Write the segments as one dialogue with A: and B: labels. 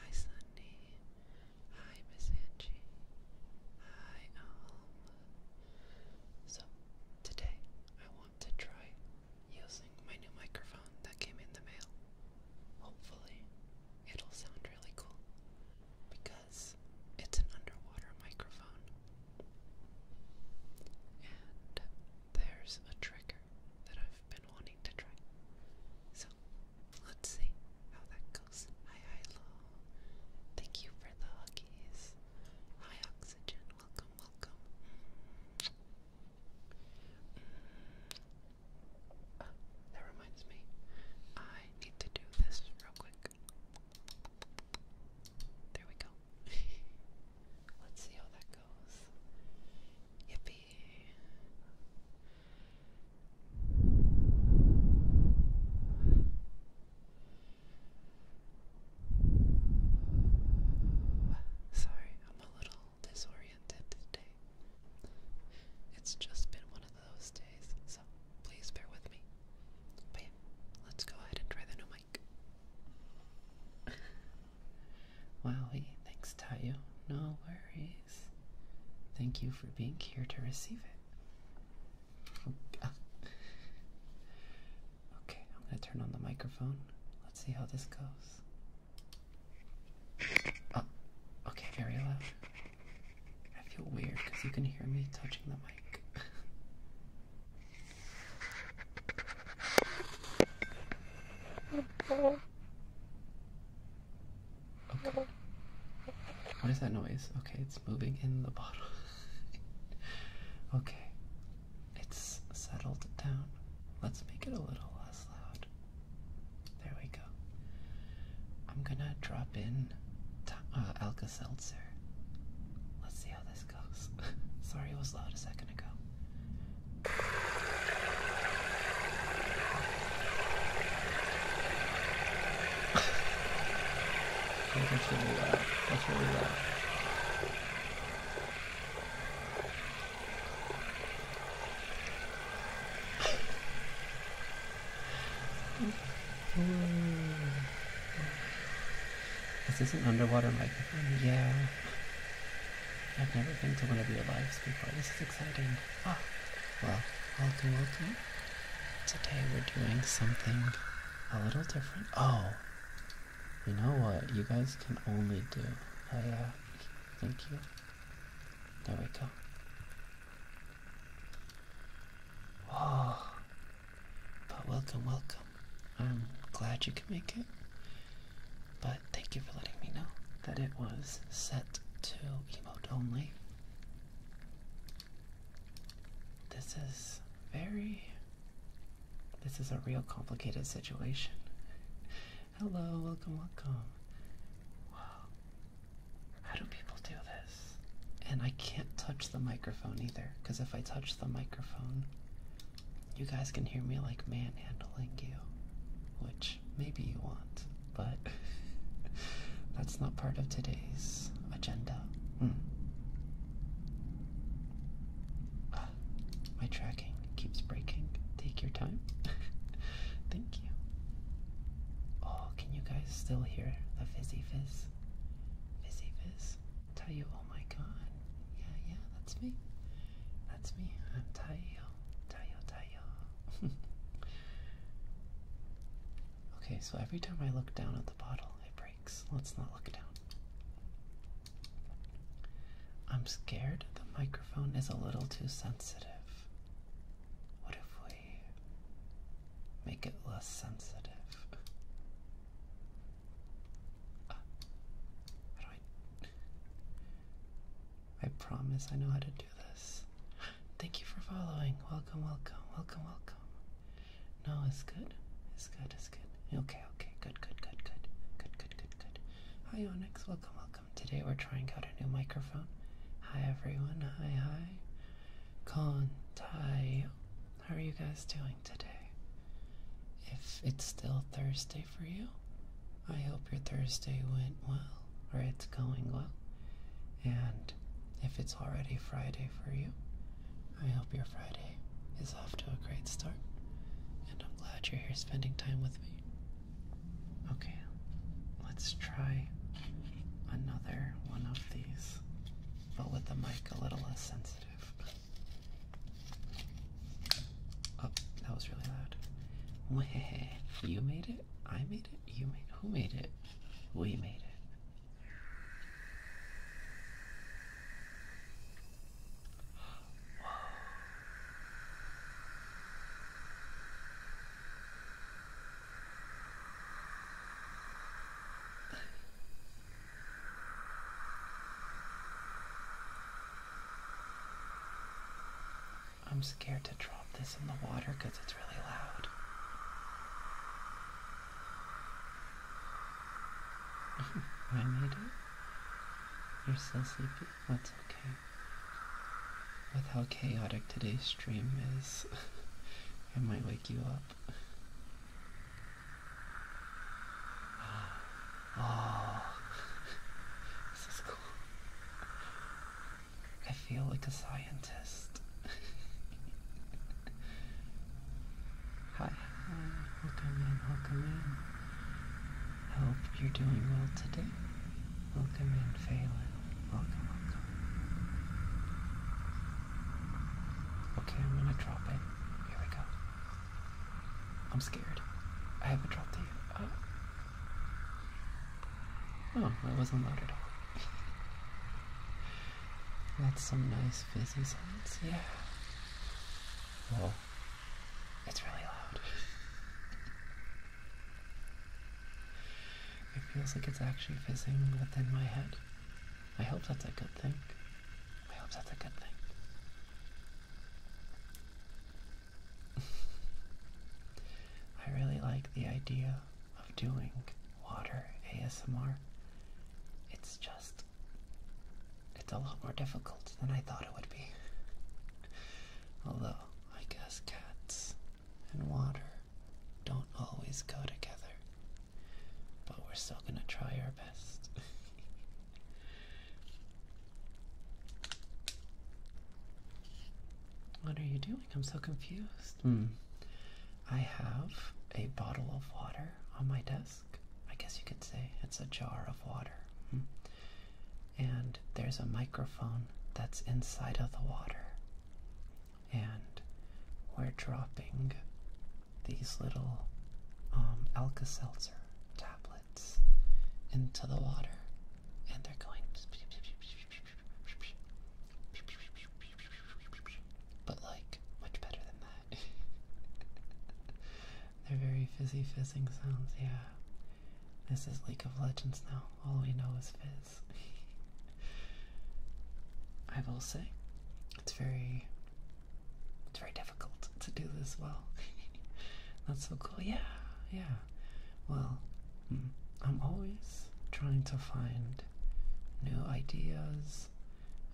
A: Hi, Sunny. Hi, Miss Angie. Hi, Alma. So, today I want to try using my new microphone that came in the mail. Hopefully, it'll sound really cool because it's an underwater microphone. And there's a trigger that I've wanting to try. So, let's see how that goes. Hi, hi, Thank you for the huggies. Hi, Oxygen. Welcome, welcome. Mm. Oh, that reminds me, I need to do this real quick. There we go. Let's see how that goes. Yippee. Sorry, I'm a little disoriented today. It's just been one of those days, so please bear with me. But let's go ahead and try the new mic. Wowie, thanks Tayo. No worries. Thank you for being here to receive it. Oh, okay, I'm gonna turn on the microphone. Let's see how this goes. Oh, okay, very loud. I feel weird because you can hear me touching the mic. Okay. What is that noise? Okay, it's moving in the bottle. okay, it's settled down. Let's make it a little less loud. There we go. I'm gonna drop in uh, Alka Seltzer. Let's see how this goes. Sorry, it was loud a second ago
B: that's
A: Is this an underwater microphone? Yeah. I've never been to one of your lives before. This is exciting. Oh. Well, welcome, welcome. Today we're doing something a little different. Oh, you know what? You guys can only do. I, uh, thank you. There we go. Whoa. But welcome, welcome. I'm glad you can make it. But thank you for letting me know that it was set to emote only. This is very. This is a real complicated situation. Hello, welcome, welcome. Wow. How do people do this? And I can't touch the microphone either, because if I touch the microphone, you guys can hear me like manhandling you, which maybe you want, but that's not part of today's agenda. Hmm. Ah, my tracking keeps breaking. Take your time. Thank you. Oh, can you guys still hear the fizzy fizz? Fizzy fizz? Tell you, oh my god. Yeah, yeah, that's me. That's me. I'm Tayo. Tayo, Tayo. Okay, so every time I look down at the bottle, it breaks. Let's not look down. I'm scared the microphone is a little too sensitive. What if we make it less sensitive? Uh, how do I. I promise I know how to do this. Thank you for following. Welcome, welcome, welcome, welcome. No, it's good. It's good, it's good. Okay, okay, good, good, good, good. Good, good, good, good. Hi, Onyx. Welcome, welcome. Today we're trying out a new microphone. Hi, everyone. Hi, hi. Kontai. How are you guys doing today? If it's still Thursday for you, I hope your Thursday went well, or it's going well. And if it's already Friday for you, I hope your Friday is off to a great start. And I'm glad you're here spending time with me. Okay, let's try another one of these, but with the mic a little less sensitive. Oh, that was really loud. you made it? I made it? You made Who made it? We made it. I'm scared to drop this in the water because it's really loud. Why, it. You're still sleepy? That's okay. With how chaotic today's stream is, it might wake you up. Oh, this is cool. I feel like a scientist. hi, welcome in, welcome in. hope you're doing well today. Welcome in, Phelan. Welcome, welcome. Okay, I'm gonna drop it. Here we go. I'm scared. I haven't dropped it Oh, that wasn't loud at all. That's some nice fizzy sounds, yeah. Oh, It's really loud. it feels like it's actually fizzing within my head. I hope that's a good thing. I hope that's a good thing. I really like the idea of doing water ASMR. It's just, it's a lot more difficult than I thought it would be. Although, I guess cats and water don't always go together. But we're still gonna try our best. what are you doing? I'm so confused. Hmm. I have a bottle of water on my desk. I guess you could say it's a jar of water. Hmm. And there's a microphone that's inside of the water. And we're dropping these little um, Alka Seltzer tablets into the water. And they're going but like much better than that. They're very fizzy fizzing sounds, yeah. This is League of Legends now. All we know is fizz. I will say, it's very it's very difficult to do this well. That's so cool. Yeah, yeah. Well, mm, I'm always trying to find new ideas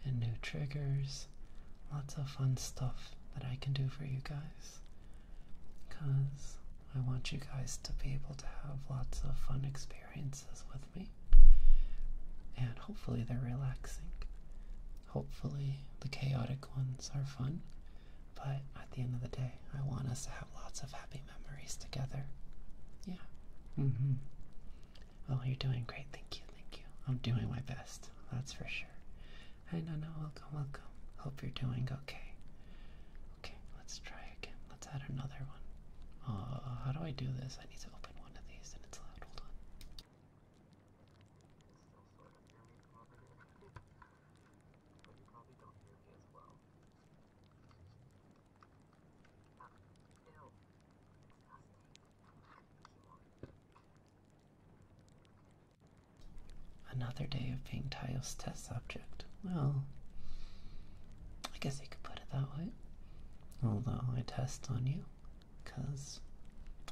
A: and new triggers. Lots of fun stuff that I can do for you guys. Because I want you guys to be able to have lots of fun experiences with me. And hopefully they're relaxing. Hopefully the chaotic ones are fun. But at the end of the day, I want us to have lots of happy memories together. Yeah. Mm-hmm. Well, you're doing great. Thank you. Thank you. I'm doing my best. That's for sure. I know. No, welcome. Welcome. Hope you're doing okay. Okay. Let's try again. Let's add another one. Oh, how do I do this? I need to open one of these, and it's loud. Hold on. Another day of being Tayo's test subject. Well, I guess you could put it that way. Although I test on you, because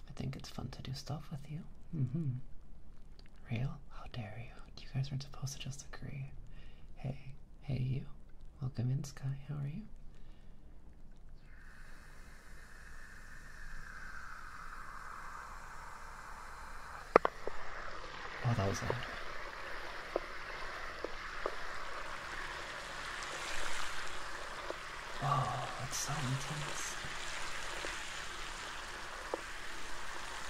A: I think it's fun to do stuff with you. Mm-hmm. Real? How dare you? You guys were not supposed to just agree. Hey, Hey, you. Welcome in, Sky. How are you? Oh, that was loud. Oh, it's so intense.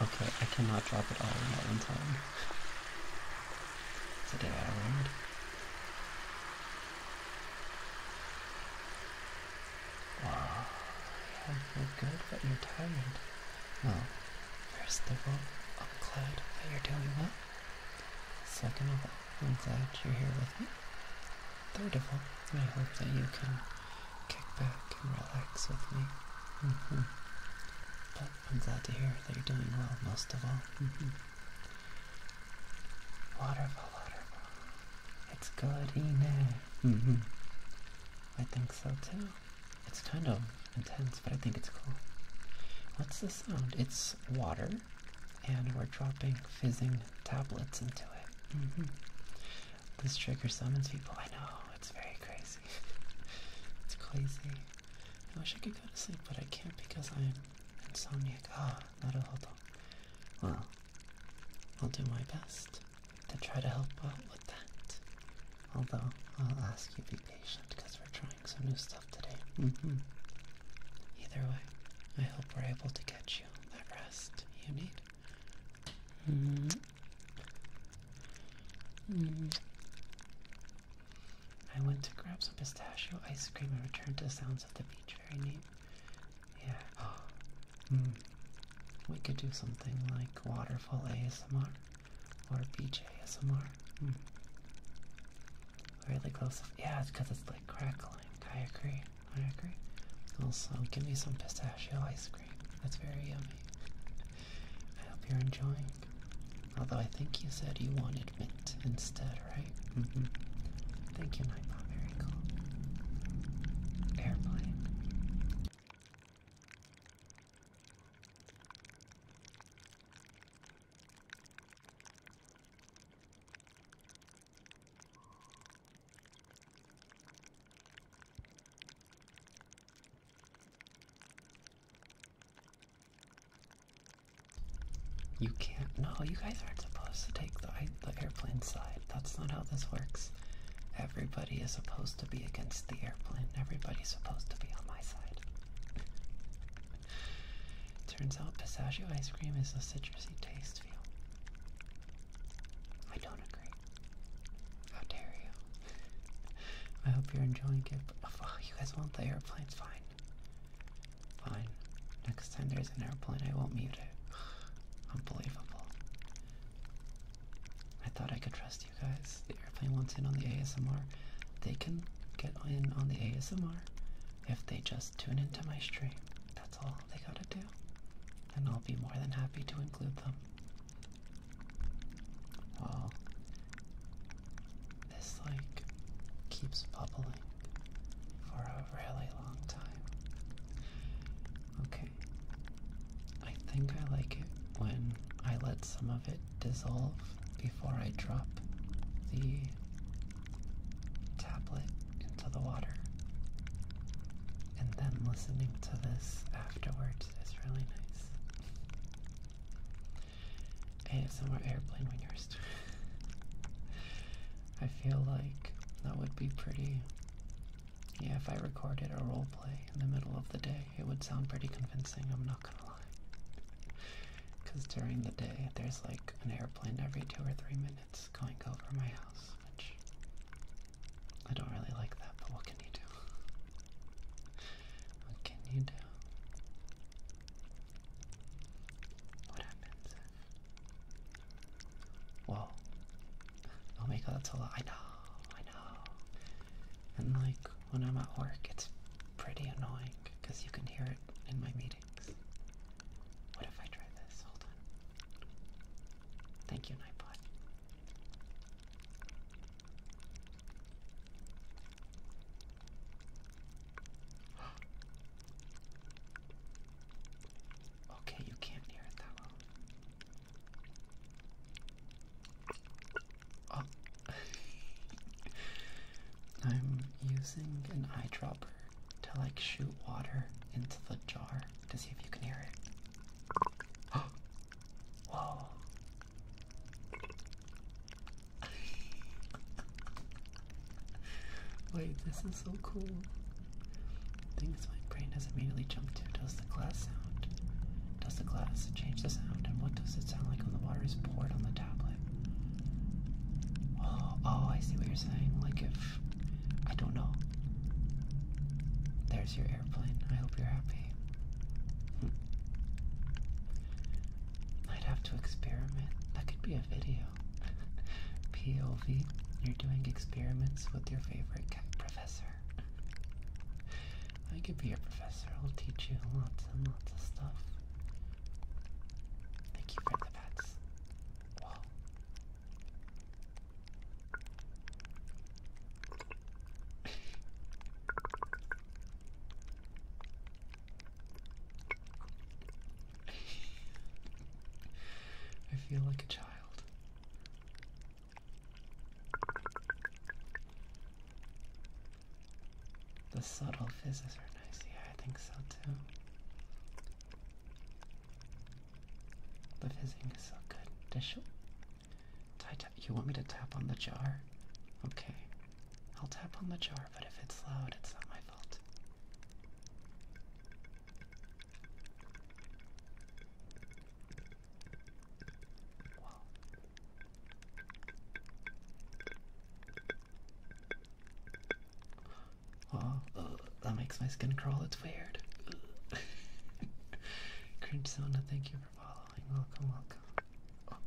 A: Okay, I cannot drop it all in at one time. Is it an island? Wow, yeah, you're good, but you're tired. Well, first of all, I'm glad that you're doing well. Second of all, I'm glad you're here with me. Third of all, I hope that you can kick back and relax with me. Mm-hmm. I'm glad to hear that you're doing well, most of all. Mm-hmm. It's good, Ine. Mm I think so too. It's kind of intense, but I think it's cool. What's the sound? It's water, and we're dropping fizzing tablets into it. Mm-hmm. This trigger summons people. I know, it's very crazy. it's crazy. I wish I could go to sleep, but I can't because I'm insomniac. Ah, naruhodo. Well, I'll do my best to try to help out with that. Although, I'll ask you to be patient because we're trying some new stuff today. Mm-hmm. Either way, I hope we're able to get you that rest you need. Mm-hmm. Hmm. I went to grab some pistachio ice cream and returned to sounds of the beach. Very neat. Yeah. mm. We could do something like waterfall ASMR or beach ASMR. Hmm. Really close. Yeah, it's because it's like crackling. I agree. I agree. Also, give me some pistachio ice cream. That's very yummy. I hope you're enjoying. Although I think you said you wanted mint instead, right? Mm-hmm. Thank you, Nightbot. Very cool. Airplane. You can't. No, you guys aren't supposed to take the, the airplane side. That's not how this works. Everybody is supposed to be against the airplane. Everybody's supposed to be on my side. Turns out pistachio ice cream is a citrusy taste feel. I don't agree. How dare you? I hope you're enjoying it. Oh, you guys want the airplane? Fine. Fine. Next time there's an airplane, I won't mute it. Unbelievable. I thought I could trust you guys. The airplane wants in on the ASMR. They can get in on the ASMR if they just tune into my stream. That's all they gotta do. And I'll be more than happy to include them. Well, this like keeps bubbling for a really long time. Okay, I think I like it when I let some of it dissolve before I drop the tablet into the water. And then listening to this afterwards is really nice. ASMR airplane wingers. I feel like that would be pretty. Yeah, if I recorded a role play in the middle of the day, it would sound pretty convincing, I'm not gonna lie. Because during the day, there's like an airplane every two or three minutes going over my house, which I don't really like that, but what can you do? What can you do? What happens? Whoa. Oh my god, that's a lot. I know, I know. And like, when I'm at work, it's pretty annoying because you can hear it in my meetings. What if I try this? Hold on. Thank you, Nightbot okay, you can't hear it that well. Oh. I'm using an eyedropper to like shoot water into the jar to see if you can hear it. Whoa. Wait, this is so cool. Things my brain has immediately jumped to. Does the glass sound? Does the glass change the sound? And what does it sound like when the water is poured on the tablet? Oh, oh, I see what you're saying. Like if I don't know. There's your airplane. I hope you're happy. I'd have to experiment. That could be a video. POV, you're doing experiments with your favorite professor. I could be your professor. I'll teach you lots and lots of stuff. Thank you for the pets. I feel like a child. The subtle fizzes are nice. Yeah, I think so too. The fizzing is so good. Dish. You want me to tap on the jar? Okay. I'll tap on the jar, but if it's loud, it's not my fault. Oh, uh, that makes my skin crawl. It's weird. Crimsona, thank you Welcome, oh, welcome.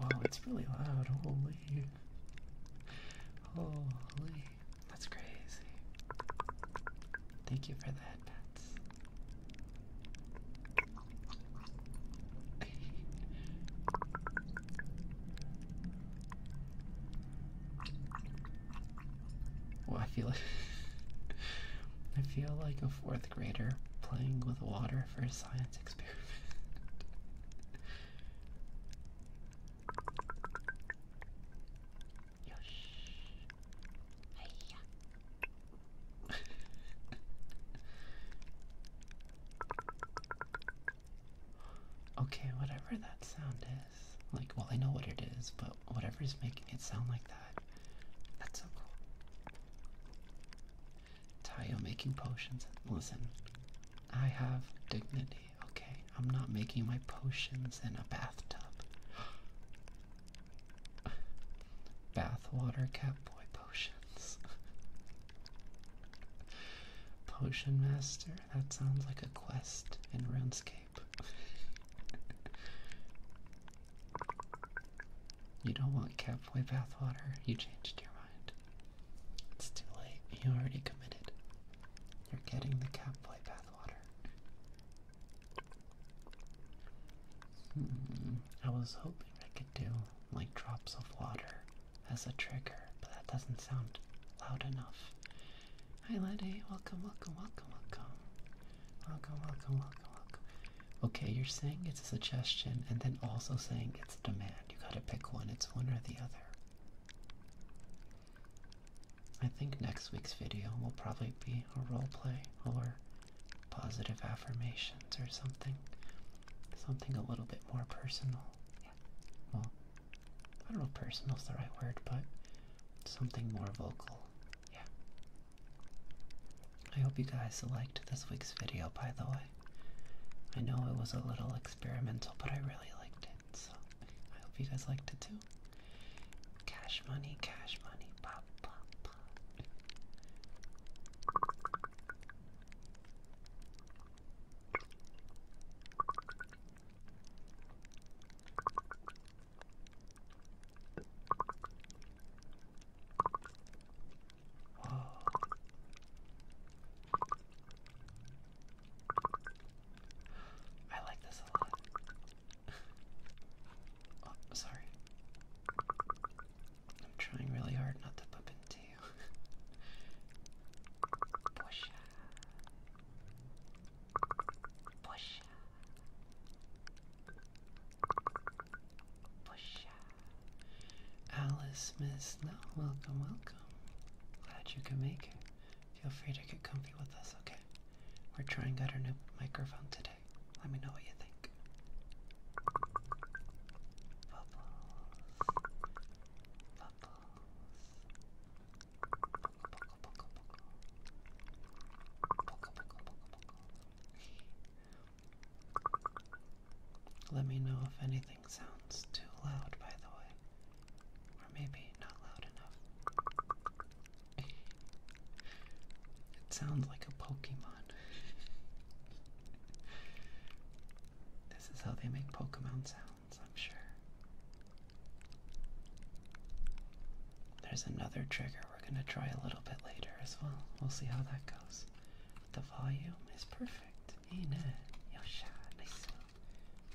A: Oh. wow, it's really loud. Holy. Holy. That's crazy. Thank you for that, headpats. Well, I feel like I feel like a fourth grader playing with water for a science experiment. okay, whatever that sound like, well, I know what it is, but whatever is making it sound like that, that's so cool. Tayo making potions. Listen, I have dignity, okay? I'm not making my potions in a bathtub. Bathwater Catboy potions. Potion Master? That sounds like a quest in RuneScape you don't want Catboy bathwater? You changed your mind. It's too late. You already committed. You're getting the Catboy bathwater. Hmm. I was hoping I could do like drops of water as a trigger, but that doesn't sound loud enough. Hi, Lenny. Welcome, welcome, welcome, welcome. Welcome, welcome, welcome, welcome. Okay, you're saying it's a suggestion and then also saying it's a demand. You gotta pick one, it's one or the other. I think next week's video will probably be a role play or positive affirmations or something. Something a little bit more personal. Yeah. Well, I don't know if is the right word, but something more vocal. Yeah. I hope you guys liked this week's video, by the way. I know it was a little experimental, but I really liked it, so I hope you guys liked it too. Cash money, cash money, pop, pop, pop. I like this a lot. Oh, sorry. I'm trying really hard not to bump into you. Push. Push. Push. Alice, Miss No, welcome, welcome. Glad you can make it. Feel free to get comfy with us, okay? We're trying out our new microphone today. Let me know what you think. Bubbles. Bubbles. Let me know if anything sounds too loud, by the way, or maybe not loud enough. it sounds like a Pokemon. this is how they make Pokemon sound. I'm sure. There's another trigger we're going to try a little bit later as well. We'll see how that goes. The volume is perfect, ain't Yosha, nice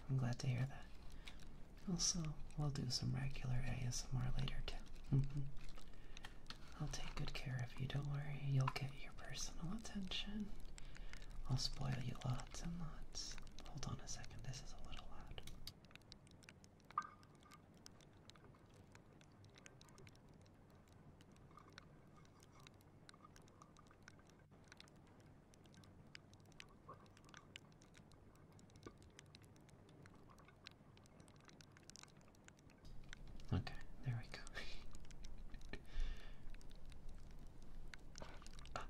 A: I'm glad to hear that. Also, we'll do some regular ASMR later too. Mm-hmm. I'll take good care of you, don't worry. You'll get your personal attention. I'll spoil you lots and lots. Hold on a second, this is a little loud. Okay, there we go. ah.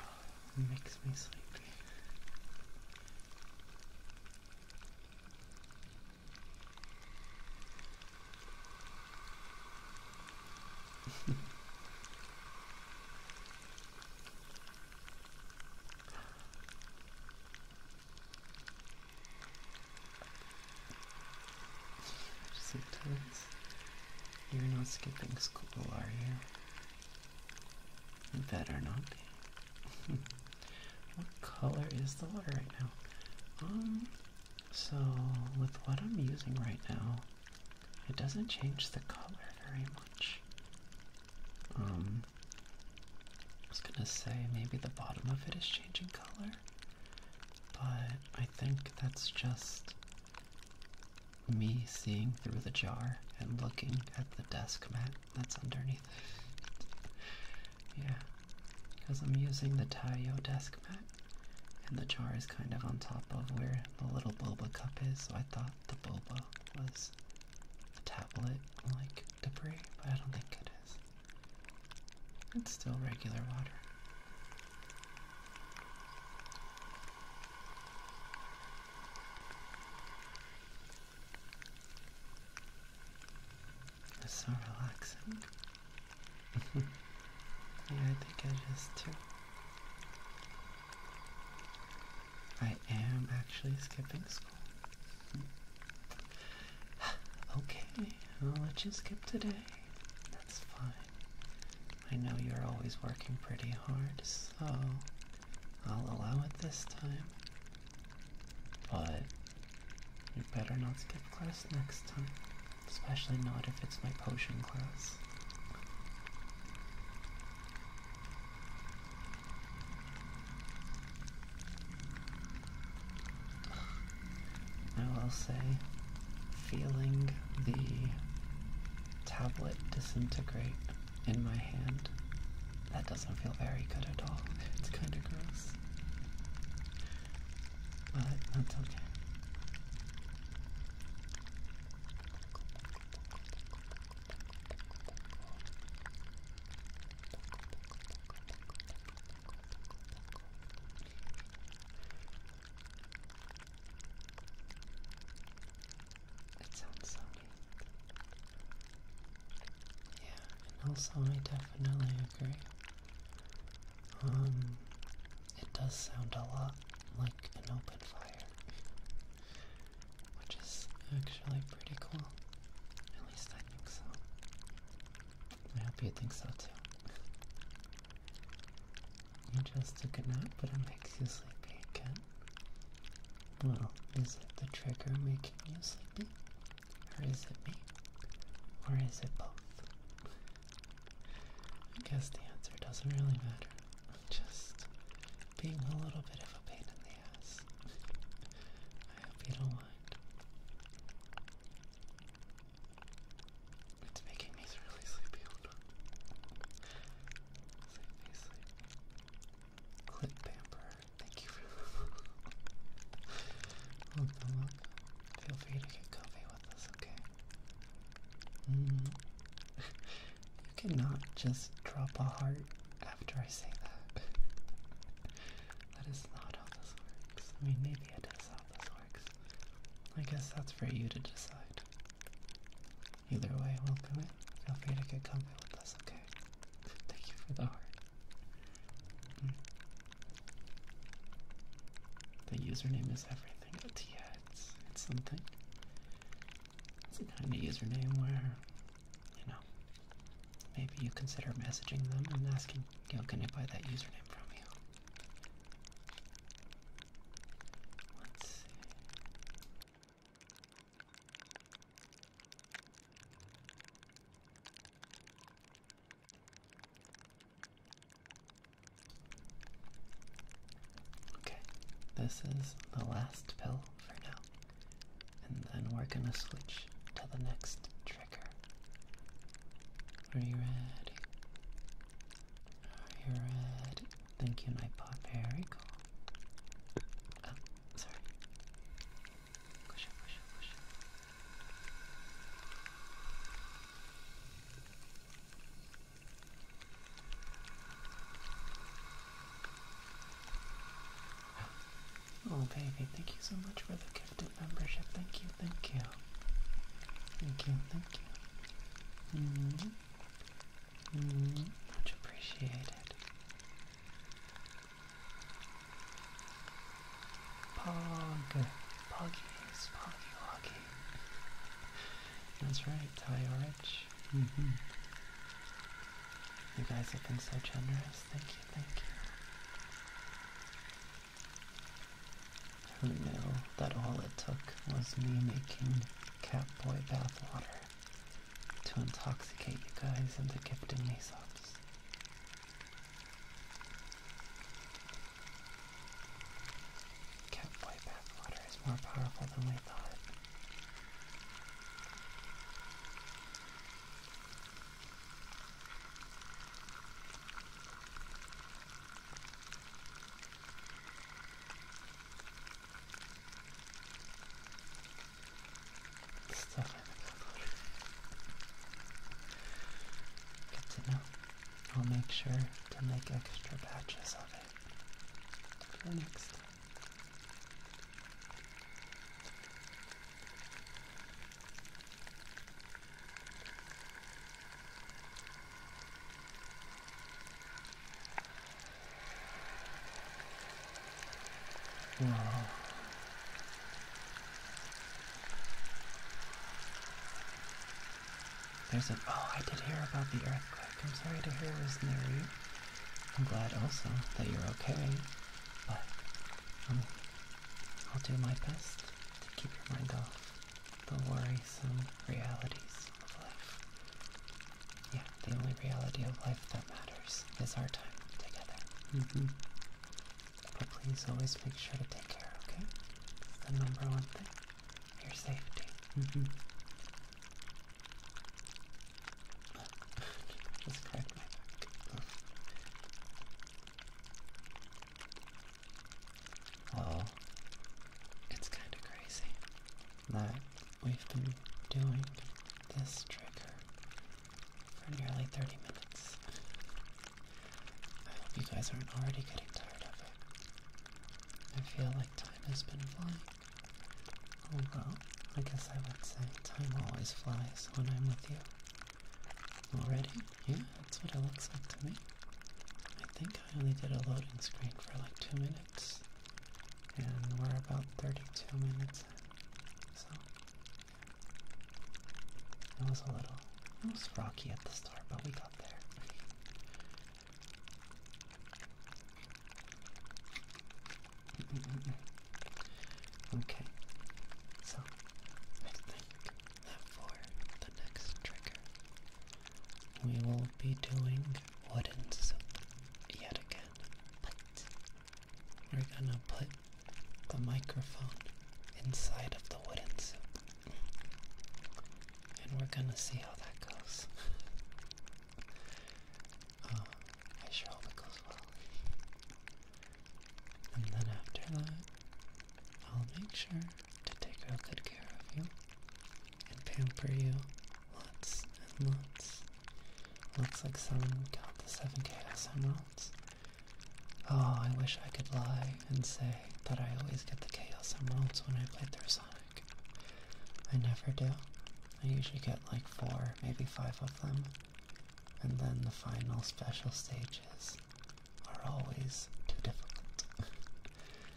A: Oh, makes me sleepy. Sometimes you're not skipping school, are you? You better not be. what color is the water right now? Um, so with what I'm using right now, it doesn't change the color very much. Um, I was gonna say maybe the bottom of it is changing color, but I think that's just me seeing through the jar and looking at the desk mat that's underneath yeah, because I'm using the Taiyo desk mat, and the jar is kind of on top of where the little Bulba cup is, so I thought the Bulba was a tablet like debris, but I don't think it is. It's still regular water. It's so relaxing. yeah, I think I just took. I am actually skipping school. okay, I'll let you skip today. That's fine. I know you're always working pretty hard, so I'll allow it this time. But you better not skip class next time, especially not if it's my potion class. I will say, feeling the tablet disintegrate in my hand. That doesn't feel very good at all. It's kind of gross. But that's okay. It sounds so neat. Yeah, and also I definitely agree. Um, it does sound a lot like an open fire, which is actually pretty cool. At least I think so. I hope you think so too. You just took a nap, but it makes you sleepy again. Well, is it the trigger making you sleepy? Or is it me? Or is it both? I guess the answer doesn't really matter. I'm Just being a little bit of a pain in the ass. I hope you don't mind. It's making me really sleepy.
B: Hold Sleepy, Clip pamper. Thank you for the welcome, Feel free to get comfy with us, okay?
A: Mm-hmm. you cannot just drop a heart after I say that. that is not how this works. I mean, maybe it is how this works. I guess that's for you to decide. Either way, we'll do it. Feel free to get comfy with us, okay? Thank you for the heart. The username is everything. But yeah, it's, something. It's the kind of username where, you know, maybe you consider messaging them and asking, you know, can I buy that username from you? Let's see. Okay, this is the last pill for now, and then we're gonna switch to the next trigger. Are you ready? Are you ready? Thank you, my Nightbot. Very cool. Oh, sorry. Oh, baby, thank you so much for the gifted membership. Thank you, thank you. Thank you, thank you. -hmm much appreciated. Pog, poggies, poggy woggy. That's right, Tyarich. Mm mm-hmm. You guys have been so generous. Thank you, thank you. Who knew that all it took was me making Catboy bathwater to intoxicate you guys into gifting me subs. Catboy bathwater is more powerful than we thought. Good to know. I'll make sure to make extra batches of it for next time. There's an. Oh, I did hear about the earthquake. I'm sorry to hear it was near you. I'm glad also that you're okay, but um, I'll do my best to keep your mind off the worrisome realities. Yeah, the only reality of life that matters is our time together. Mm-hmm. But please always make sure to take care, of It's the number one thing. Your safety. Mm-hmm. Just cracked it's kind of crazy that we've been doing this trigger for nearly 30 minutes. I hope you guys aren't already getting tired of it. I feel like time has been flying. Oh well, I guess I would say time always flies when I'm with you. Already? Yeah, that's what it looks like to me. I think I only did a loading screen for like two minutes and we're about 32 minutes so it was a little, it was rocky at the start, but we got there. okay, so for the next trigger, we will be doing wooden soup yet again, but we're gonna put the microphone inside of the wooden soup. And we're gonna see how that goes. uh, I sure hope it goes well. And then after that, I'll make sure to take real good care of you and pamper you lots and lots. Looks like someone got the 7k emeralds. Oh, I wish I could lie and say that I always get the Chaos Emeralds when I play through Sonic. I never do. I usually get like four, maybe five of them. And then the final special stages are always too difficult.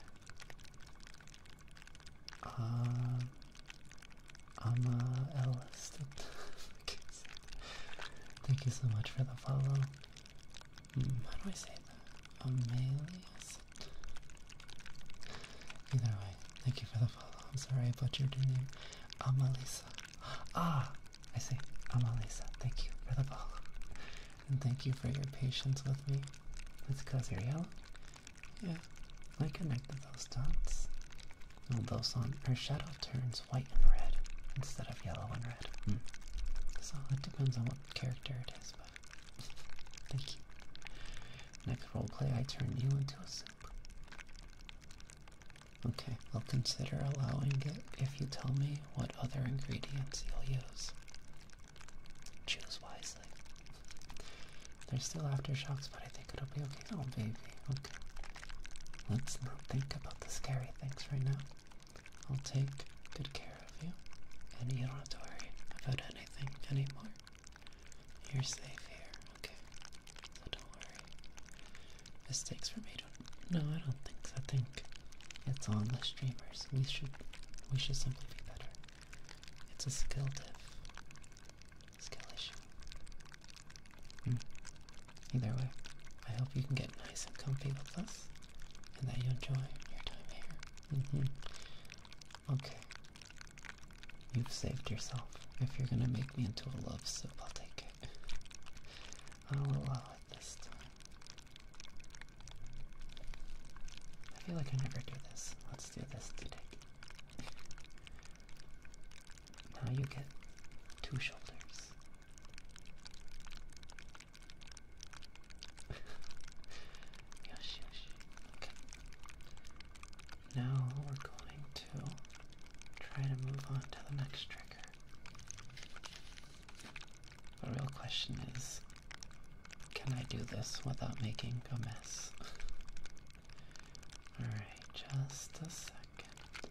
A: Um, uh, uh, i Thank you so much for the follow. Mm, how do I say that? Amelius? Either way, thank you for the follow. I'm sorry about your name. Amalisa. Ah, I see. Amalisa, thank you for the follow. And thank you for your patience with me. It's because you're yeah, I connected those dots. Those on her shadow turns white and red instead of yellow and red. Mm. So it depends on what character it is, but thank you. Next roleplay, I turn you into a soup. Okay, I'll consider allowing it if you tell me what other ingredients you'll use. Choose wisely. There's still aftershocks, but I think it'll be okay. Oh, baby. Okay. Let's not think about the scary things right now. I'll take good care of you, and you don't have to worry about anything anymore. You're safe here, okay? So don't worry. Mistakes were made. No, I don't think so. I think it's on the streamers. We should, we should simply be better. It's a skill diff. Skill issue. Hmm. Either way, I hope you can get nice and comfy with us and that you enjoy your time here. Mm-hmm. Okay. You've saved yourself. If you're gonna make me into a love soup, I'll take it. I'll allow it this time. I feel like I never do this. Let's do this today now you get two shoulders. yes, yes. Okay. Now we're going to try to move on to the next trigger. The real question is can I do this without making a mess? Alright, just a second.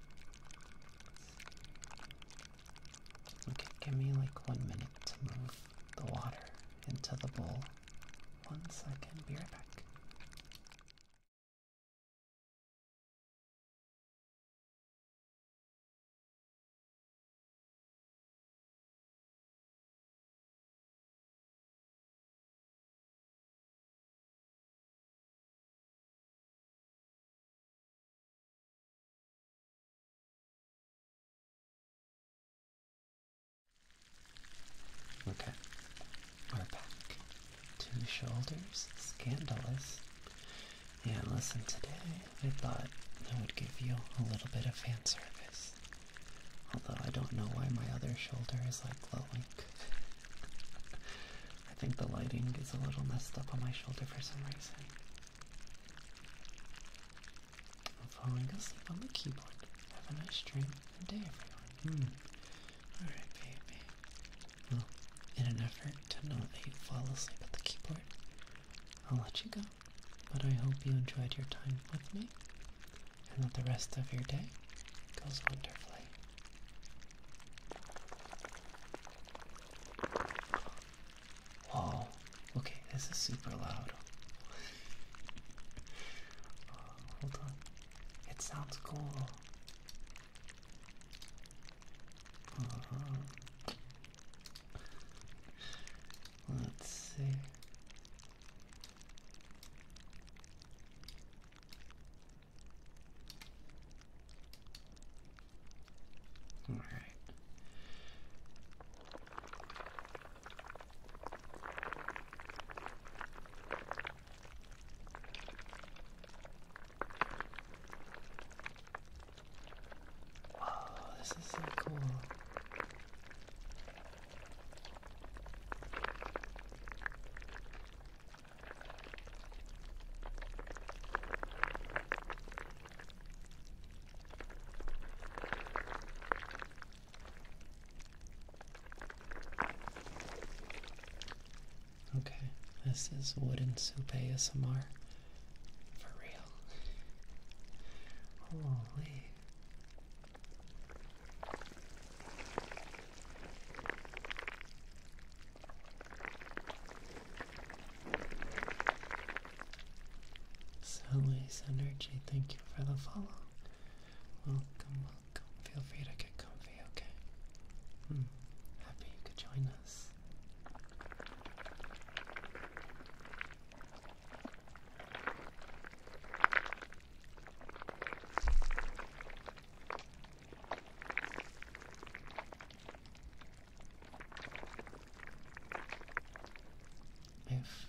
A: Okay, give me like one minute to move the water into the bowl. One second, be right back. Okay, we're back. Two shoulders, scandalous. And listen, today I thought I would give you a little bit of fan service. Although I don't know why my other shoulder is like glowing. I think the lighting is a little messed up on my shoulder for some reason. I'm falling asleep on the keyboard. Have a nice dream and day, everyone. Hmm. Alright, baby. Well, in an effort to not let you fall asleep at the keyboard, I'll let you go. But I hope you enjoyed your time with me and that the rest of your day goes wonderfully. Whoa, okay, this is super loud. Uh, hold on, it sounds cool. Uh-huh. Let's see. All right. Oh, this is so cool. Okay, this is wooden soup ASMR. For real. Holy. Solis Energy, thank you for the follow. Welcome, welcome. Feel free to get comfy, okay? Hmm, happy you could join us. If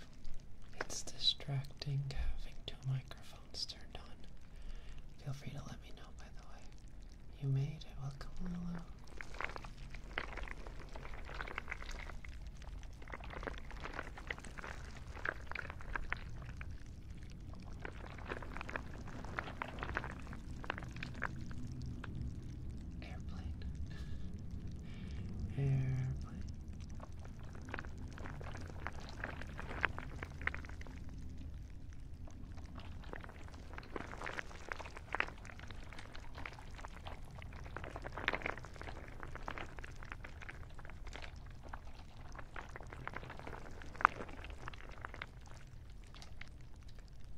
A: it's distracting having two microphones turned on, feel free to let me know, by the way. You made it. Welcome, Lulu. Airplane. Airplane.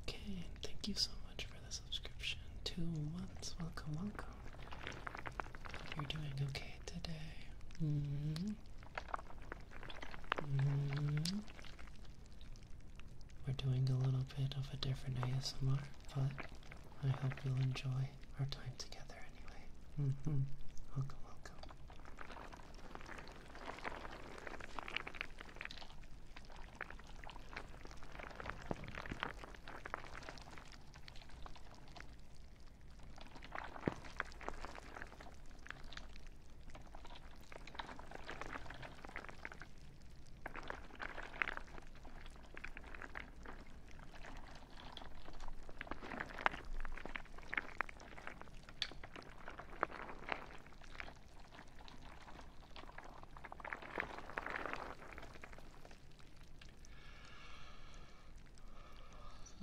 A: Okay, thank you so much for the subscription. Two months, welcome, welcome. you're doing okay today. Mm-hmm. Mm-hmm. We're doing a little bit of a different ASMR, but I hope you'll enjoy our time together anyway. Mm-hmm. Welcome, welcome.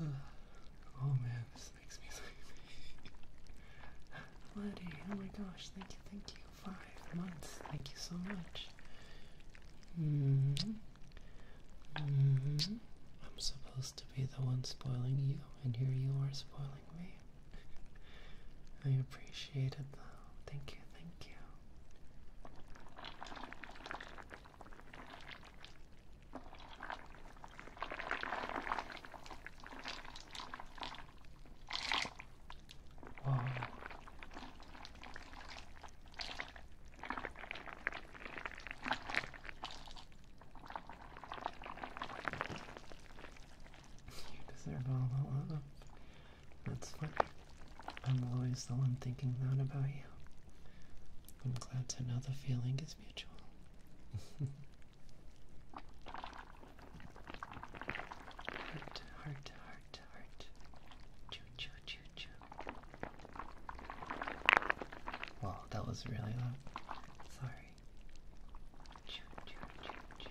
A: oh man, this makes me sleepy. Letty, oh my gosh, thank you, thank you. Five months, thank you so much. -hmm. Mm-hmm. I'm supposed to be the one spoiling you, and here you are spoiling me. I appreciate it though. Thank you, thank you. You deserve all the love. That's fine. I'm always the one thinking that about you. I'm glad to know the feeling is mutual. heart, heart, heart, heart. Choo choo choo choo. Wow, that was really loud. Sorry. Choo, choo, choo, choo.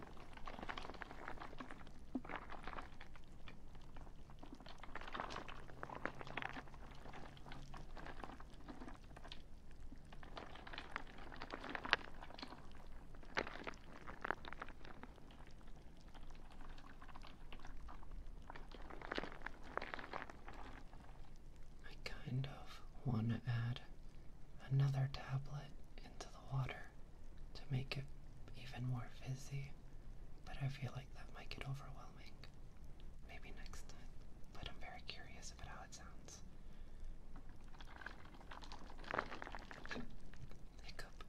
A: I kind of want to add another tablet into the water to make it even more fizzy, but I feel like that might get overwhelming. Maybe next time, but I'm very curious about how it sounds. Hiccup.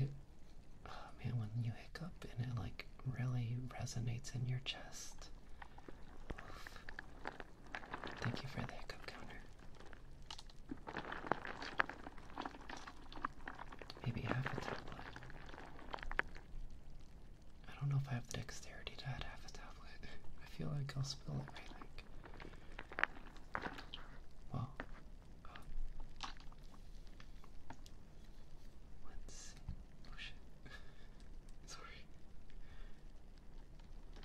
A: It, oh man, when you hiccup and it like really resonates in your chest, Thank you for the hiccup counter. Maybe half a tablet. I don't know if I have the dexterity to add half a tablet. I feel like I'll spill everything. Well, uh, let's see. Oh shit. Sorry. You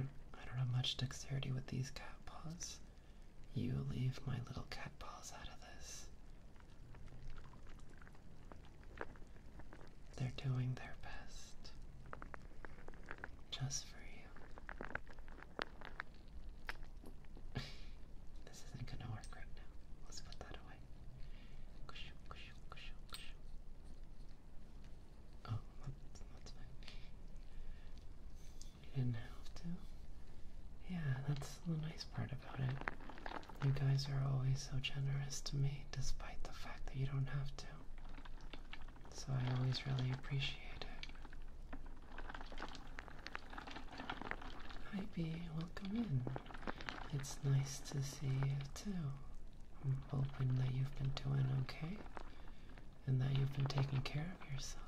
A: don't, I don't have much dexterity with these cat paws. You leave my little cat paws out of this. They're doing their best just for you. this isn't gonna work right now. Let's put that away. Oh, that's, fine. didn't have to. Yeah, that's the nice part about it. You guys are always so generous to me, despite the fact that you don't have to. So I always really appreciate it. Hi, B. Welcome in. It's nice to see you too. I'm hoping that you've been doing okay and that you've been taking care of yourself.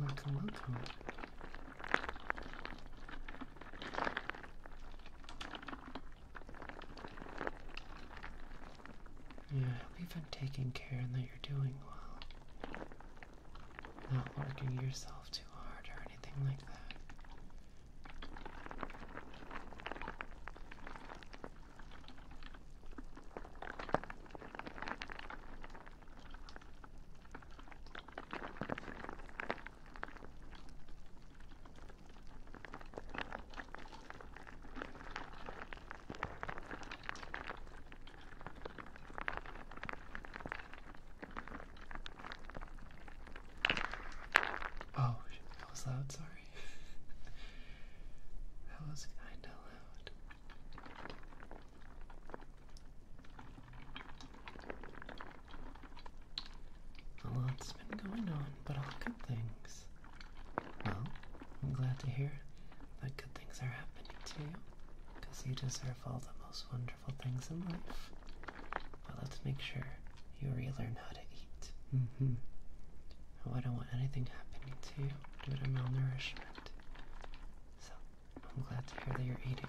A: Welcome, welcome. Yeah, I believe I'm taking care and that you're doing well. Not working yourself too hard or anything like that. Oh, that was loud, sorry. that was kinda loud. A lot's been going on, but all good things. Well, I'm glad to hear that good things are happening to you, because you deserve all the most wonderful things in life. But let's make sure you relearn how to eat. Mm hmm. Oh, I don't want anything happening to you due to malnourishment. So, I'm glad to hear that you're eating.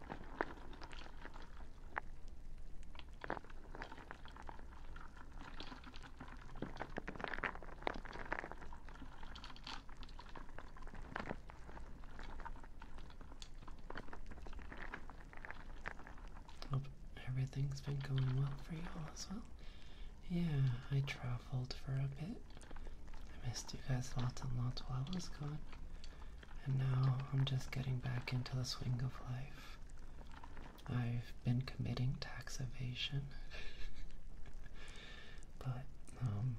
A: Hope everything's been going well for you all as well. Yeah, I traveled for a bit. I missed you guys lots and lots while I was gone. And now I'm just getting back into the swing of life. I've been committing tax evasion. but, um,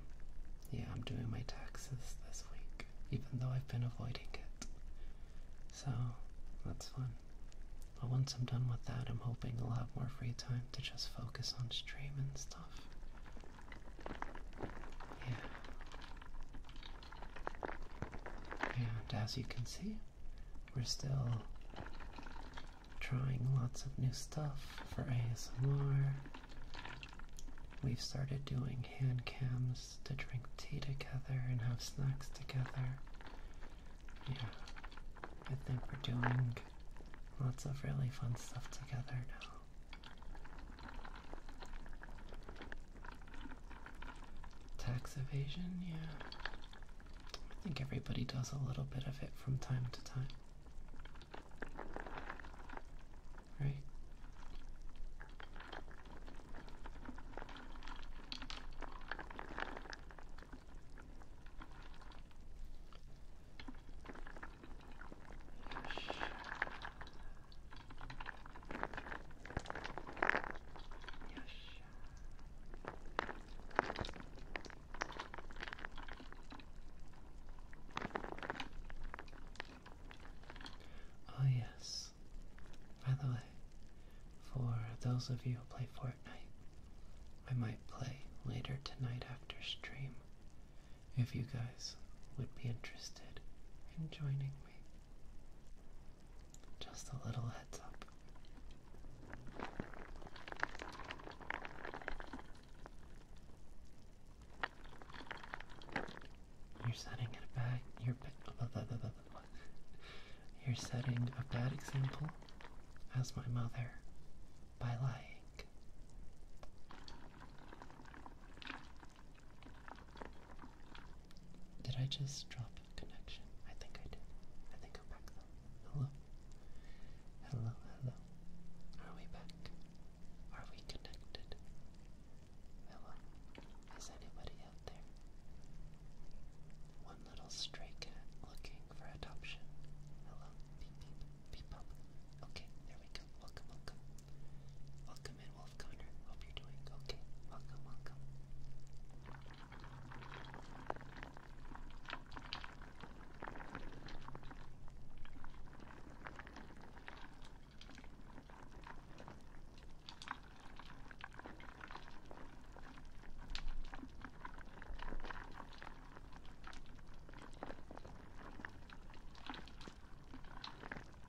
A: yeah, I'm doing my taxes this week, even though I've been avoiding it. So, that's fun. But once I'm done with that, I'm hoping I'll have more free time to just focus on streaming stuff. Yeah. And as you can see, we're still trying lots of new stuff for ASMR. We've started doing hand cams to drink tea together and have snacks together. Yeah, I think we're doing lots of really fun stuff together now. Tax evasion, yeah. I think everybody does a little bit of it from time to time. Right? Oh, yes. By the way, for those of you who play Fortnite, I might play later tonight after stream if you guys would be interested in joining me. Just a little heads up. You're setting it back. You're you're setting a bad example as my mother by lying. Did I just drop connection? I think I did. I think I'm back though. Hello? Hello, hello. Are we back? Are we connected? Hello? Is anybody out there? One little stray cat looking for adoption. Hello? Beep beep. Beep Okay, there we go. Welcome, welcome. Welcome in. Wolf Connor. Hope you're doing okay. Welcome, welcome.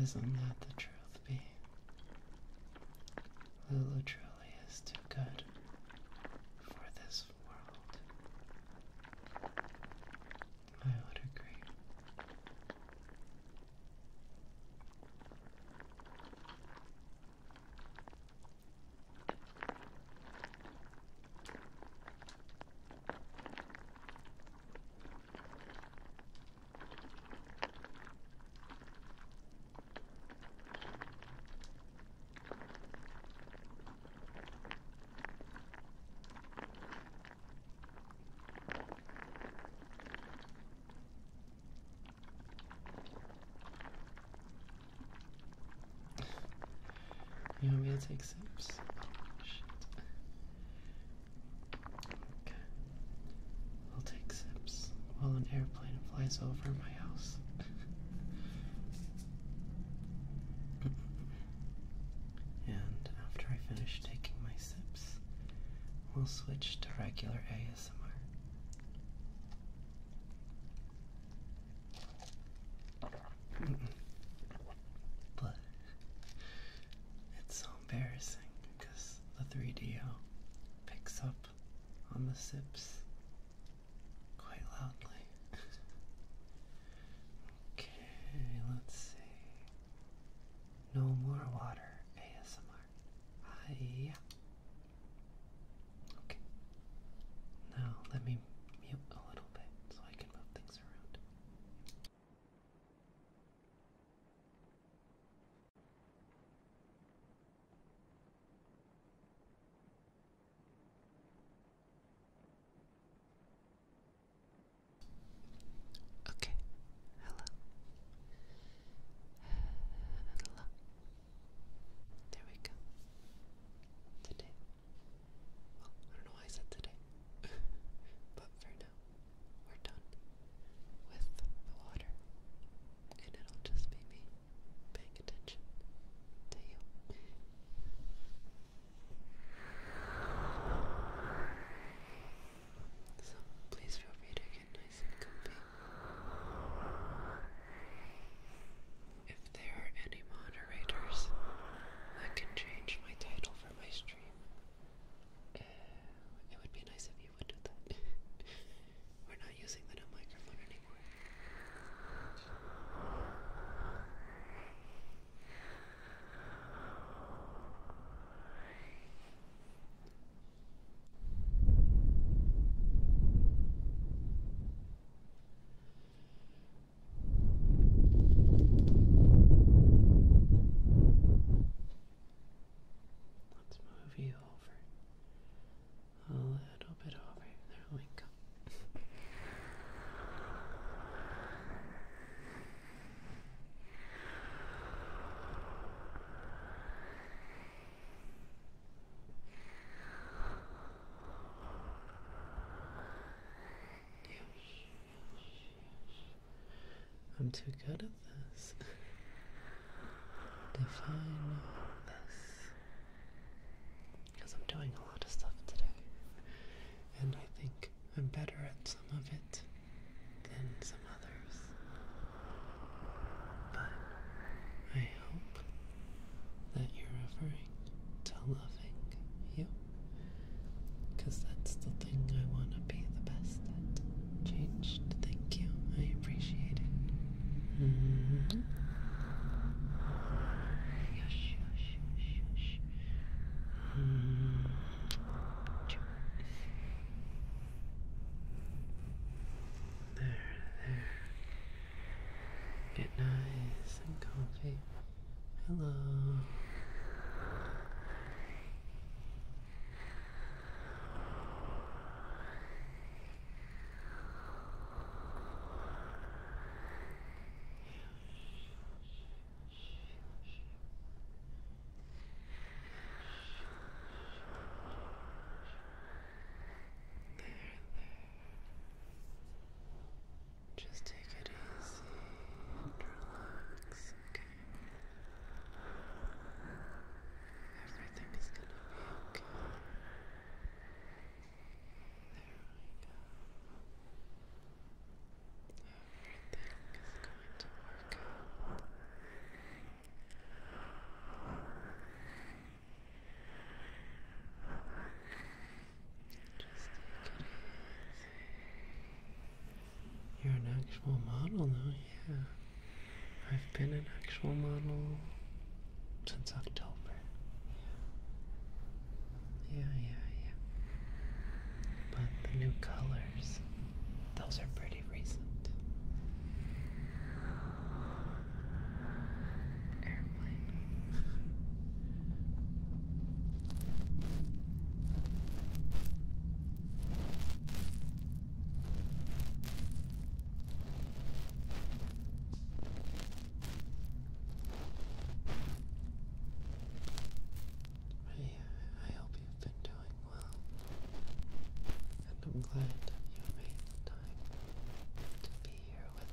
A: Isn't that the truth be? Lulu truly is too good for this world. I would agree. You want me to take sips? Shit. Okay. I'll take sips while an airplane flies over my house. and after I finish taking my sips, we'll switch to regular ASMR. but it's so embarrassing because the 3 d picks up on the sips quite loudly. okay, let's see. No more water ASMR. Ah, Okay. Now let me mute a little bit so I can move things around. Okay, hello. Hello. There we go. Today. Well, I don't know why I said today. but for now we're done with the water, and it'll just be me paying attention to you. So please feel free to get nice and comfy. If there are any moderators that can change my title for my stream, uh, it would be nice if you would do that. We're not using the new microphone anymore. Let's move you over a little bit over. There we go. I'm too good at this. Define this. Because I'm doing a lot of stuff today. And I think I'm better at some of it than some others. But I hope that you're referring to loving you. Because that's the thing I want be the best at changed. Thank you. I appreciate it. Mm -hmm. Yosh, yosh, There, there. Get nice and comfy. Hello. There, there. Just take it easy and relax, okay? Everything is gonna be okay. There we go. Everything is going to work out. Just take it You're an actual model now, yeah. I've been an actual model since October. Yeah, yeah, yeah. But the new colors, those are pretty recent. I, I hope you've been doing well, and I'm glad you made the time to be here with me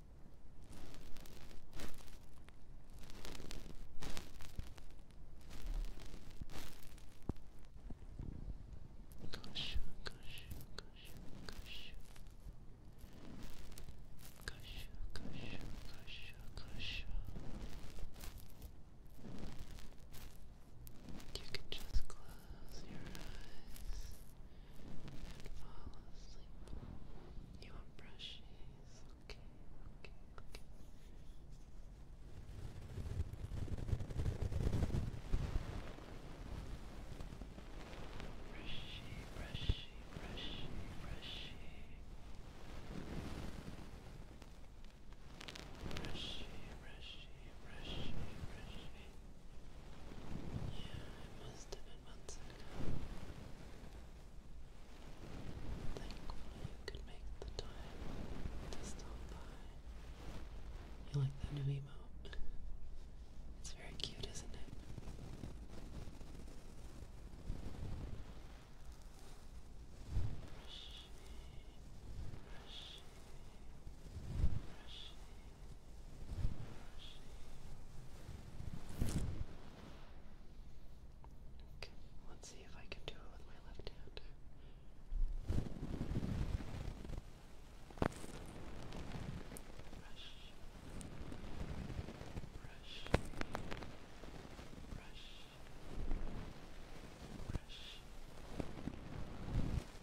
B: Gosh, gosh, gosh, gosh. Gosh,
A: gosh, gosh, gosh. You can just close Close your eyes and fall asleep. Your brushes, okay, okay, okay. Brushy, brushy, brushy, brushy. Brushy, brushy, brushy, brushy. Yeah, I must have months you could make the time to stop by. You like that new emote? It's very cute, isn't it? let's see if I can do it with my left hand. brush, brush, brush, brush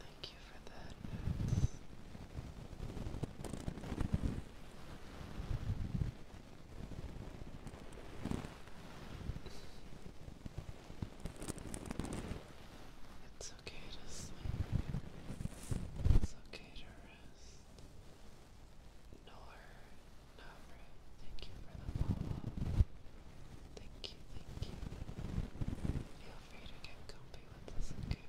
A: Thank you for that. Notes.
B: It's okay to sleep. It's okay to rest. Nor, Navra, thank you for the follow. Thank you, thank you. Feel free to get comfy with us, okay?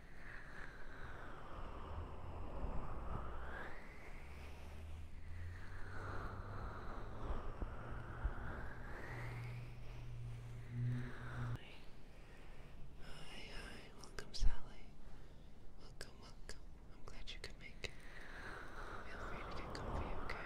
B: Hi, hi, welcome Sally. Welcome, welcome. I'm glad you could make it. Feel free to get comfy, okay?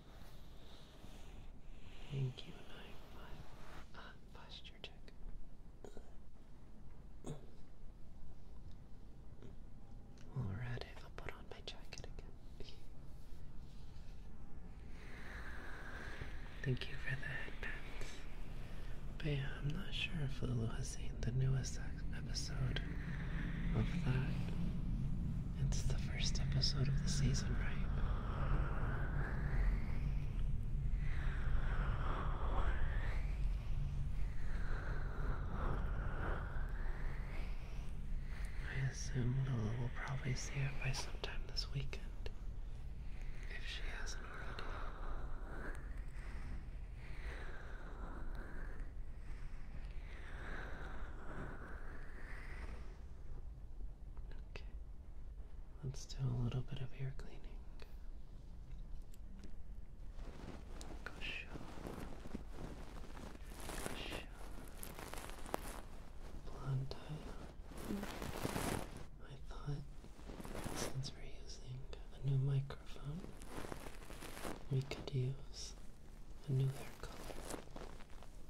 B: Thank you, my, posture check.
A: Alright, I'll put on my jacket again. Thank you for that, headbands. But I'm not sure if Lulu has seen the newest episode of that. It's the first episode of the season, right? I assume Lula will probably see her by sometime this weekend, if she hasn't Okay. Let's do a little bit of ear cleaning. Gosh. Gosh. Blonde I thought since we're using a new microphone, we could use a new hair color.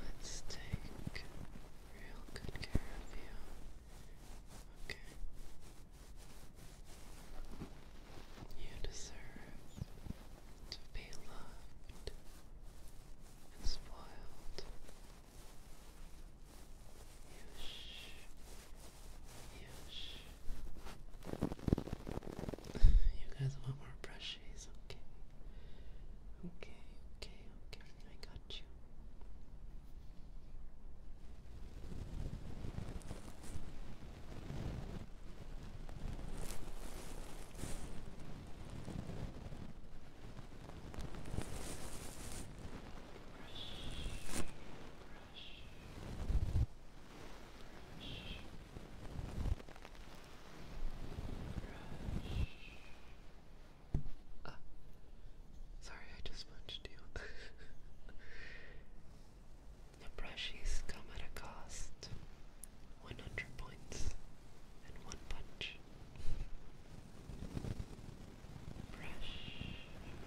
B: Let's take real good care of you.
A: Okay. You deserve to be loved and spoiled you guys want more brushes? Okay. Okay, okay, okay. I got you. Uh, sorry, I just punched you. the brushies come at a cost. 100 points and one punch brush, brush, brush,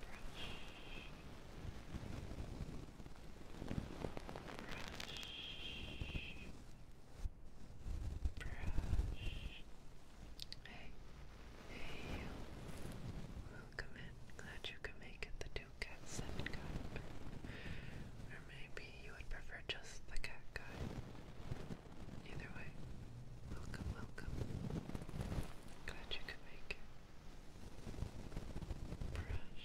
A: brush. Hey, hey Welcome in. Glad you could make it. The two cats and cat. Or maybe you would prefer just the cat guy. Either way, welcome, welcome. Glad you could make it. Brush. Brush.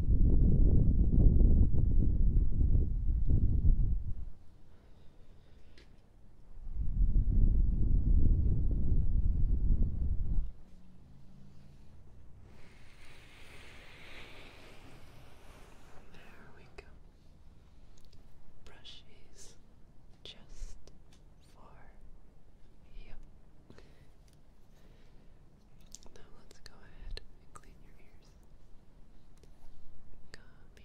A: There we go. Brushes just for you. Now let's go ahead and clean your ears. Come here.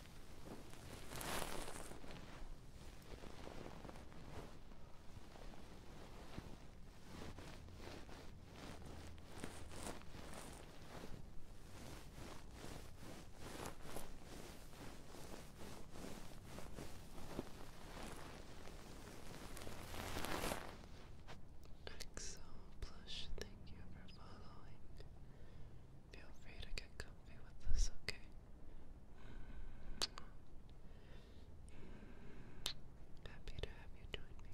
A: Exo Plush, thank you for following. Feel free to get comfy with this, okay? Happy to have you join me.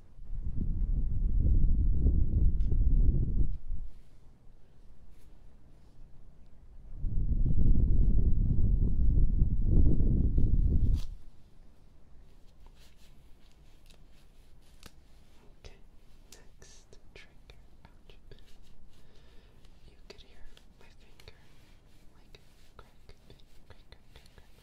B: Okay, next trigger. Ouch. You could hear my finger like crack, crack, crack, crack, crack, crack.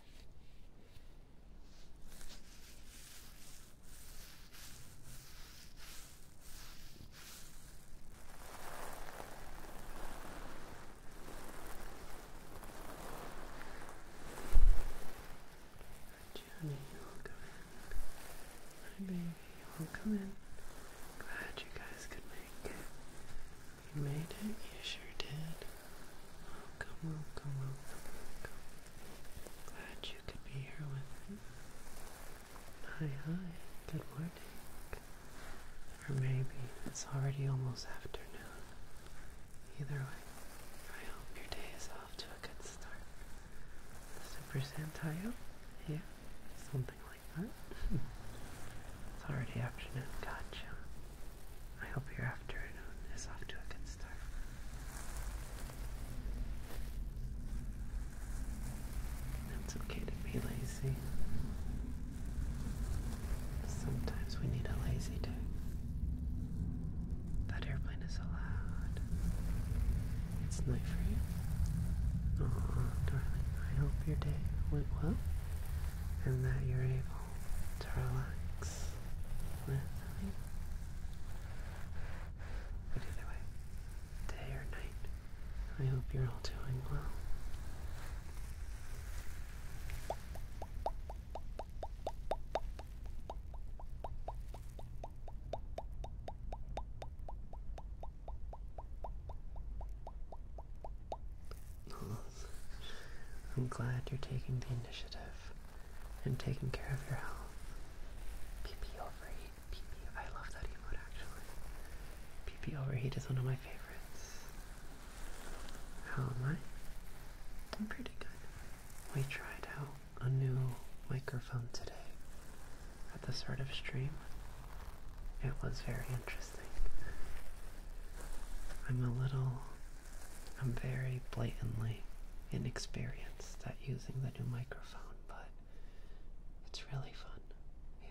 B: Johnny, welcome in.
A: My baby, welcome in. Glad you guys could make it. You made it, you sure did. Welcome, welcome, welcome, welcome. Glad you could be here with me. Hi, hi, good morning. Or maybe it's already almost afternoon. Either way, I hope your day is off to a good start. Super Santayo? Yeah, something like that. it's already afternoon, gotcha. I hope your afternoon is off to a good it's okay to be lazy. Sometimes we need a lazy day. That airplane is allowed. It's night for you. Oh, darling, I hope your day went well and that you're able to relax with me. But either way, day or night, I hope you're all doing well. I'm glad you're taking the initiative and taking care of your health. PP Overheat. PP, I love that emote actually. PP Overheat is one of my favorites. How am I? I'm pretty good. We tried out a new microphone today at the start of stream. It was very interesting. I'm a little, I'm very blatantly inexperienced at using the new microphone but it's really fun. Yeah,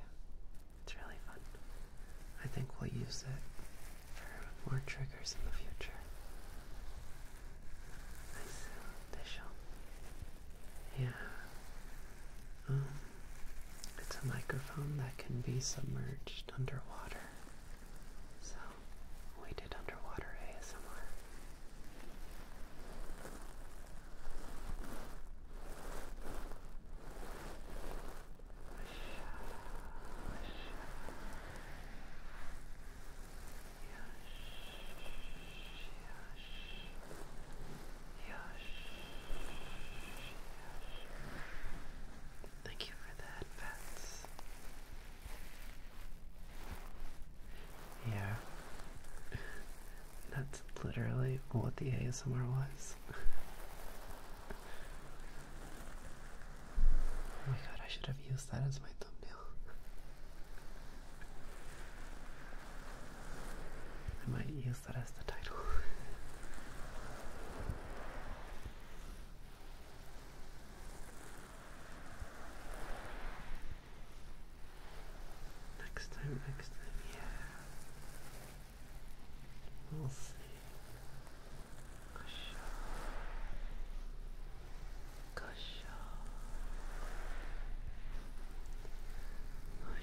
A: it's really fun. I think we'll use it for more triggers in the future. Nice official. Yeah. Um, it's a microphone that can be submerged underwater. So we did underwater ASMR. Thank you for that, pets. Yeah. That's literally what the ASMR was. oh my god, I should have used that as my thumbnail. I might use that as the title. Next time, next time, yeah. We'll see. Gosh. Gosh. Gosh.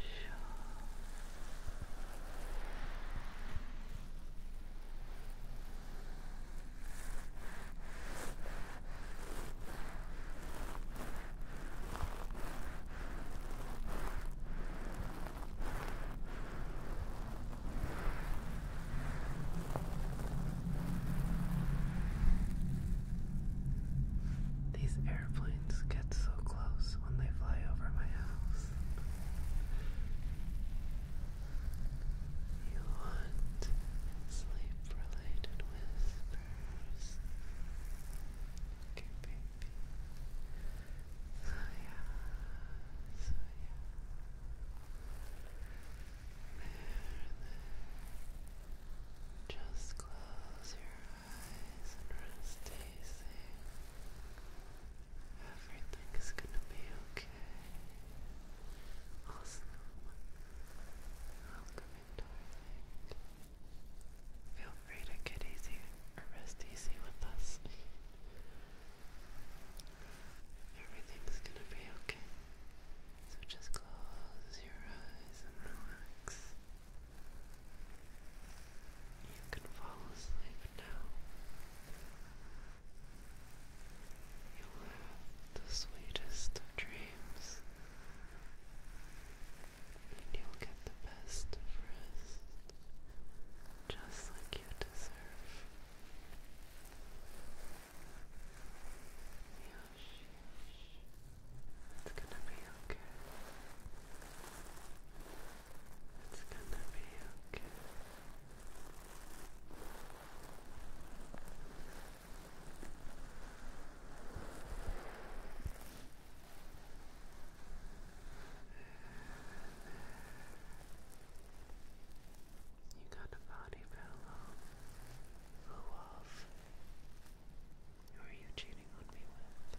A: These airplanes get so close when they fly over my house. You want sleep related whispers. Just close your eyes and rest easy. Everything's gonna be okay. Awesome. Welcome Feel free to get easy or rest easy with us. Everything's gonna be okay. So just close your eyes and relax. You can fall asleep now. You'll have the sweetest dreams and you'll get the best rest, just like you deserve. It's gonna be okay. It's gonna be okay. You got a body pillow full of are you cheating on me with?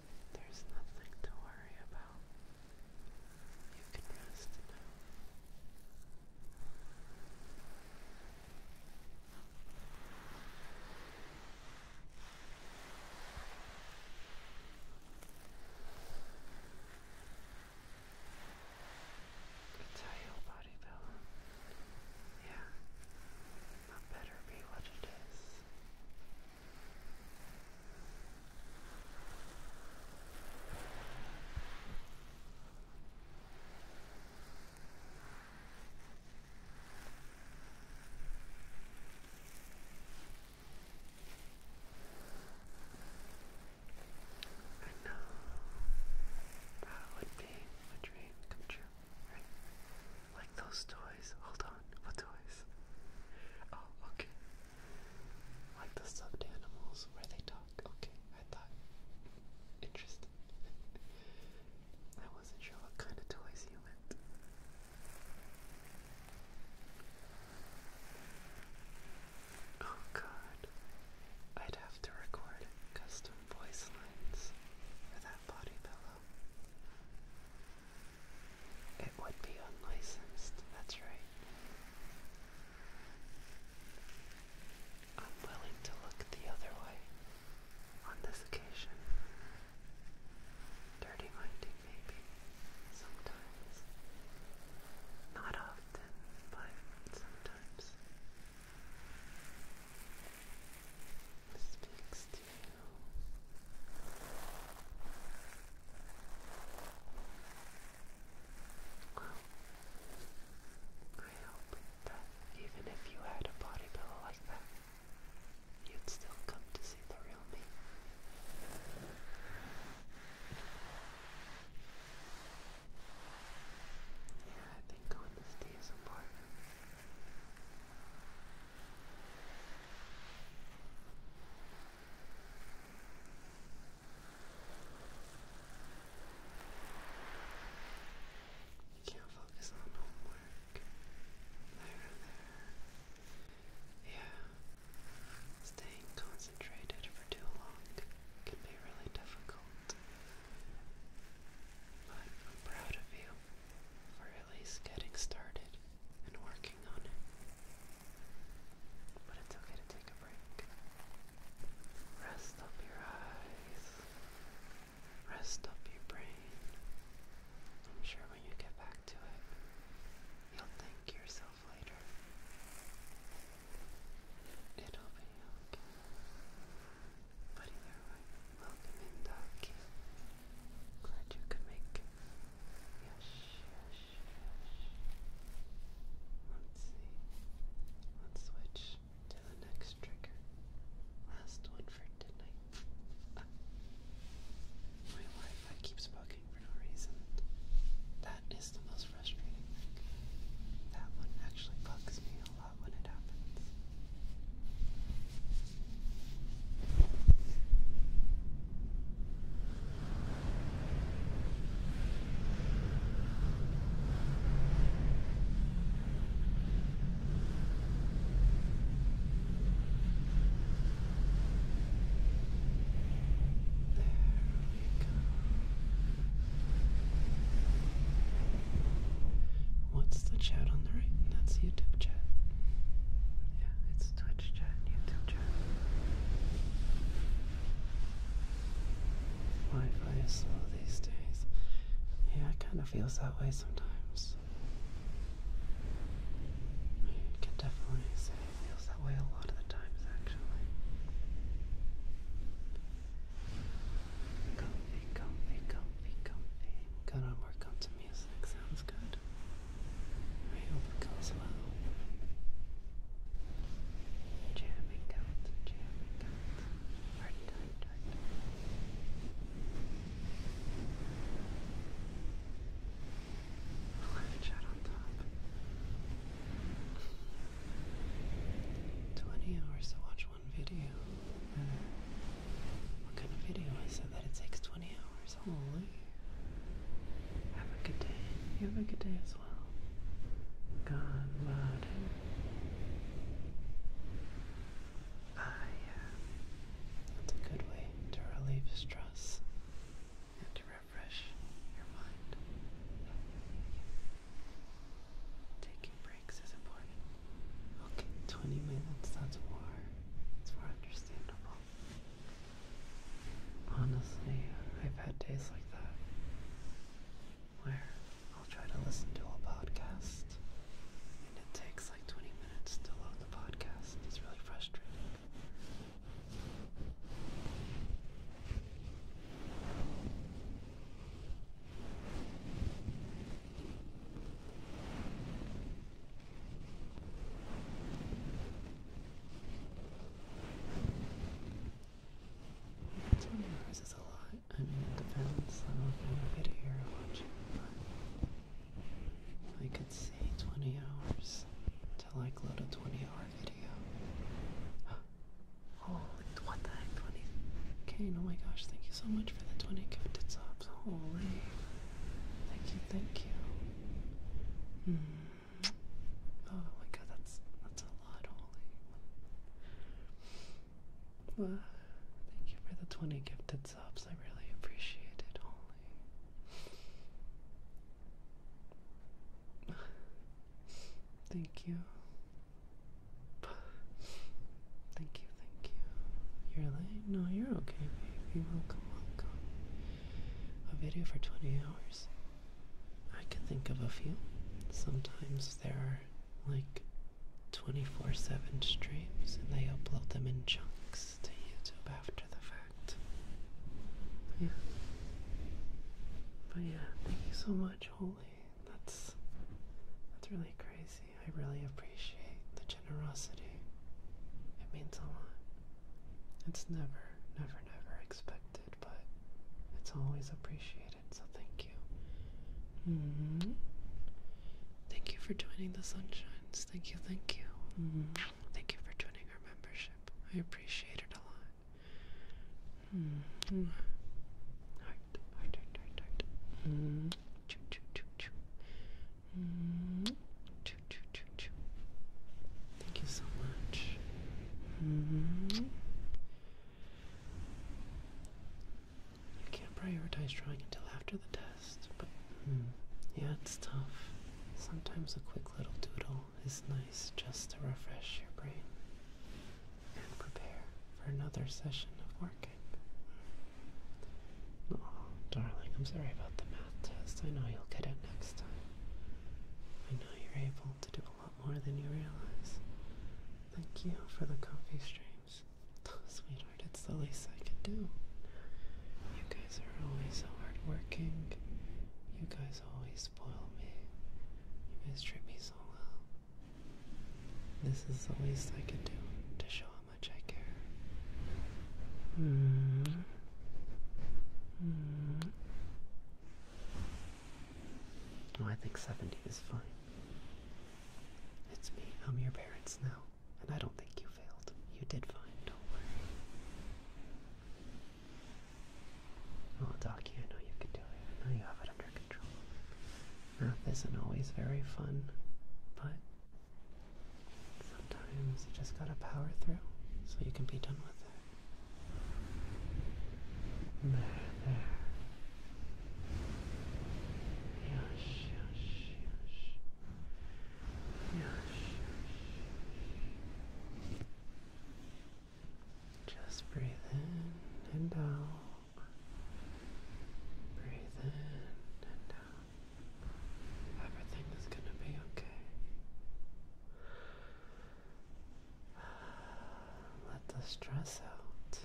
A: There's nothing to worry about. You can rest now. That's body built. Yeah. That better be what it is. I know that would be a dream come true, right? Like those toys. Hold on, what toys? Oh, okay. Like the stuffed animals where they talk. Okay, I thought. Interesting. I wasn't sure what kind of toys you meant. Oh god. I'd have to record custom voice lines for that body pillow. It would be unlicensed, that's right. I'm willing to look the other way on this occasion. Dirty minded, maybe, sometimes. Not often, but sometimes. speaks to you. I hope that even if you had a body pillow like that, you'd still come to see the real me. Yeah, I think honesty is important. You can't focus on homework. There, there. Yeah. Staying concentrated for too long can be really difficult. But I'm proud of you for at least getting started and working on it. But it's okay to take a break. Rest up your eyes. Rest up your brain. I'm sure when you get back to it, you'll thank yourself later. It'll be okay. But either way, welcome in, Doc. Glad you could make it. Let's see. Let's switch to the next trigger. Last one for tonight. my Wi-Fi keeps bugging for no reason. That is the most frustrating thing. That one actually bugs me a lot when it happens. What's the chat on the right? That's YouTube chat. Yeah, it's Twitch chat and slow these days. Yeah, it kind of feels that way sometimes. I can definitely say it feels that way a lot of the times, actually. Comfy, comfy, comfy, comfy. Gotta work on music. Sounds good. I hope it goes well. Jamming out, jamming out. Hard tight, hard tight. Left shot on top. Twenty hours to watch one video. Uh, what kind of video is it that it takes twenty hours? Have a good day. You have a good day as well. God Martin. Ah, That's a good way to relieve stress and to refresh your mind. Taking breaks is important. Okay, 20 minutes, that's more. It's more understandable. Honestly, I've had days like that where I'll try to listen to a podcast and it takes like 20 minutes to load the podcast. It's really frustrating. 20 hours is a lot. I mean, it depends I on what kind of video you're watching, but I could say 20 hours until I load a 20 hour video. oh, what the heck, 20? Okay, oh my gosh, thank you so much for the 20 gifted subs. Holy. Thank you, thank you. Hmm. Oh my god, that's that's a lot, holy. Uh, thank you for the 20 gifted subs. I really appreciate it, holy. Thank you. Thank you, thank you. You're late? No, you're okay, baby. Welcome, welcome. A video for 20 hours. I can think of a few. Sometimes there are like 24 7 streams and they upload them in chunks to YouTube after the fact. Yeah. But yeah, thank you so much, Holy. That's that's really crazy. I really appreciate the generosity. It means a lot. It's never, never, never expected, but it's always appreciated, so thank you. Mm-hmm. Thank you for joining the Sunshines. Thank you, thank you. Mm-hmm. Thank you for joining our membership. I appreciate it a lot. Mm-hmm. Heart,
B: heart, heart, heart,
A: Choo, choo, choo, choo. Choo, choo, choo, choo. Thank you so much. I can't prioritize drawing until after the test, but hmm. yeah, it's tough. Sometimes a quick little doodle is nice just to refresh your brain and prepare for another session of working. Oh, darling, I'm sorry about the math test. I know you'll get it next time. I know you're able to do more than you realize. Thank you for the coffee streams. Sweetheart, it's the least I could do. You guys are always so hardworking. You guys always spoil me. You guys treat me so well. This is the least I could do to show how much I care. Mm-hmm. Mm-hmm. Oh, I think 70 is fine. It's me. I'm your parents now. And I don't think you failed. You did fine. Don't worry. Oh, Doc, I know you can do it. I know you have it under control. Math isn't always very fun, but sometimes you just gotta power through so you can be done with it. There, there. Yes, yes, yes. Yes, Just breathe in and out. Breathe in and out. Everything is going to be okay. Let the stress out.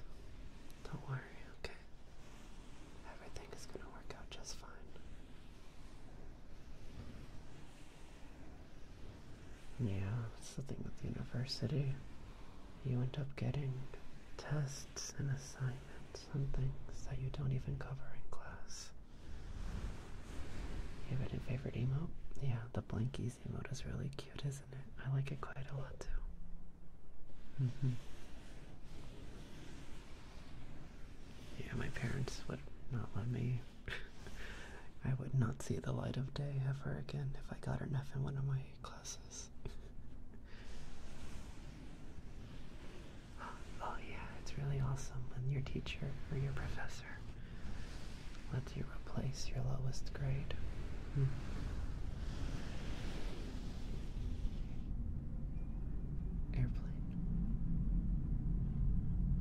A: Don't worry, okay? Everything is going to work out just fine. Yeah, it's the thing with university. You end up getting tests and assignments and things that you don't even cover in class. Favorite favorite emote? Yeah, the Blankies emote is really cute, isn't it? I like it quite a lot too. Mm -hmm. Yeah, my parents would not let me. I would not see the light of day ever again if I got enough in one of my classes. oh yeah, it's really awesome when your teacher or your professor let you replace your lowest grade. Hmm. Airplane.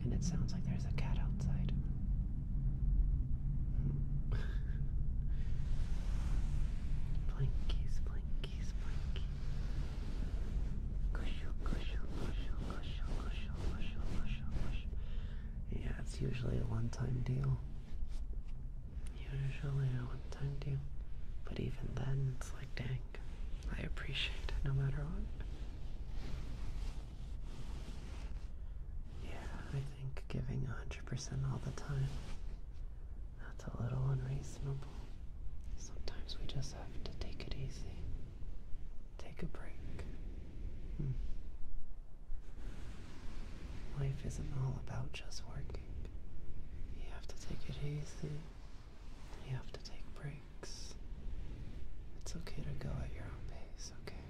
A: And it sounds like there's a cat outside. Hmm. blinkies, blinkies, yeah, it's usually a one-time deal. Usually a one-time deal. But even then, it's like, dang, I appreciate it no matter what. Yeah, I think giving 100% all the time, that's a little unreasonable. Sometimes we just have to take it easy, take a break, Hmm. Life isn't all about just working. You have to take it easy. You have to take breaks. It's okay to go at your own pace, okay?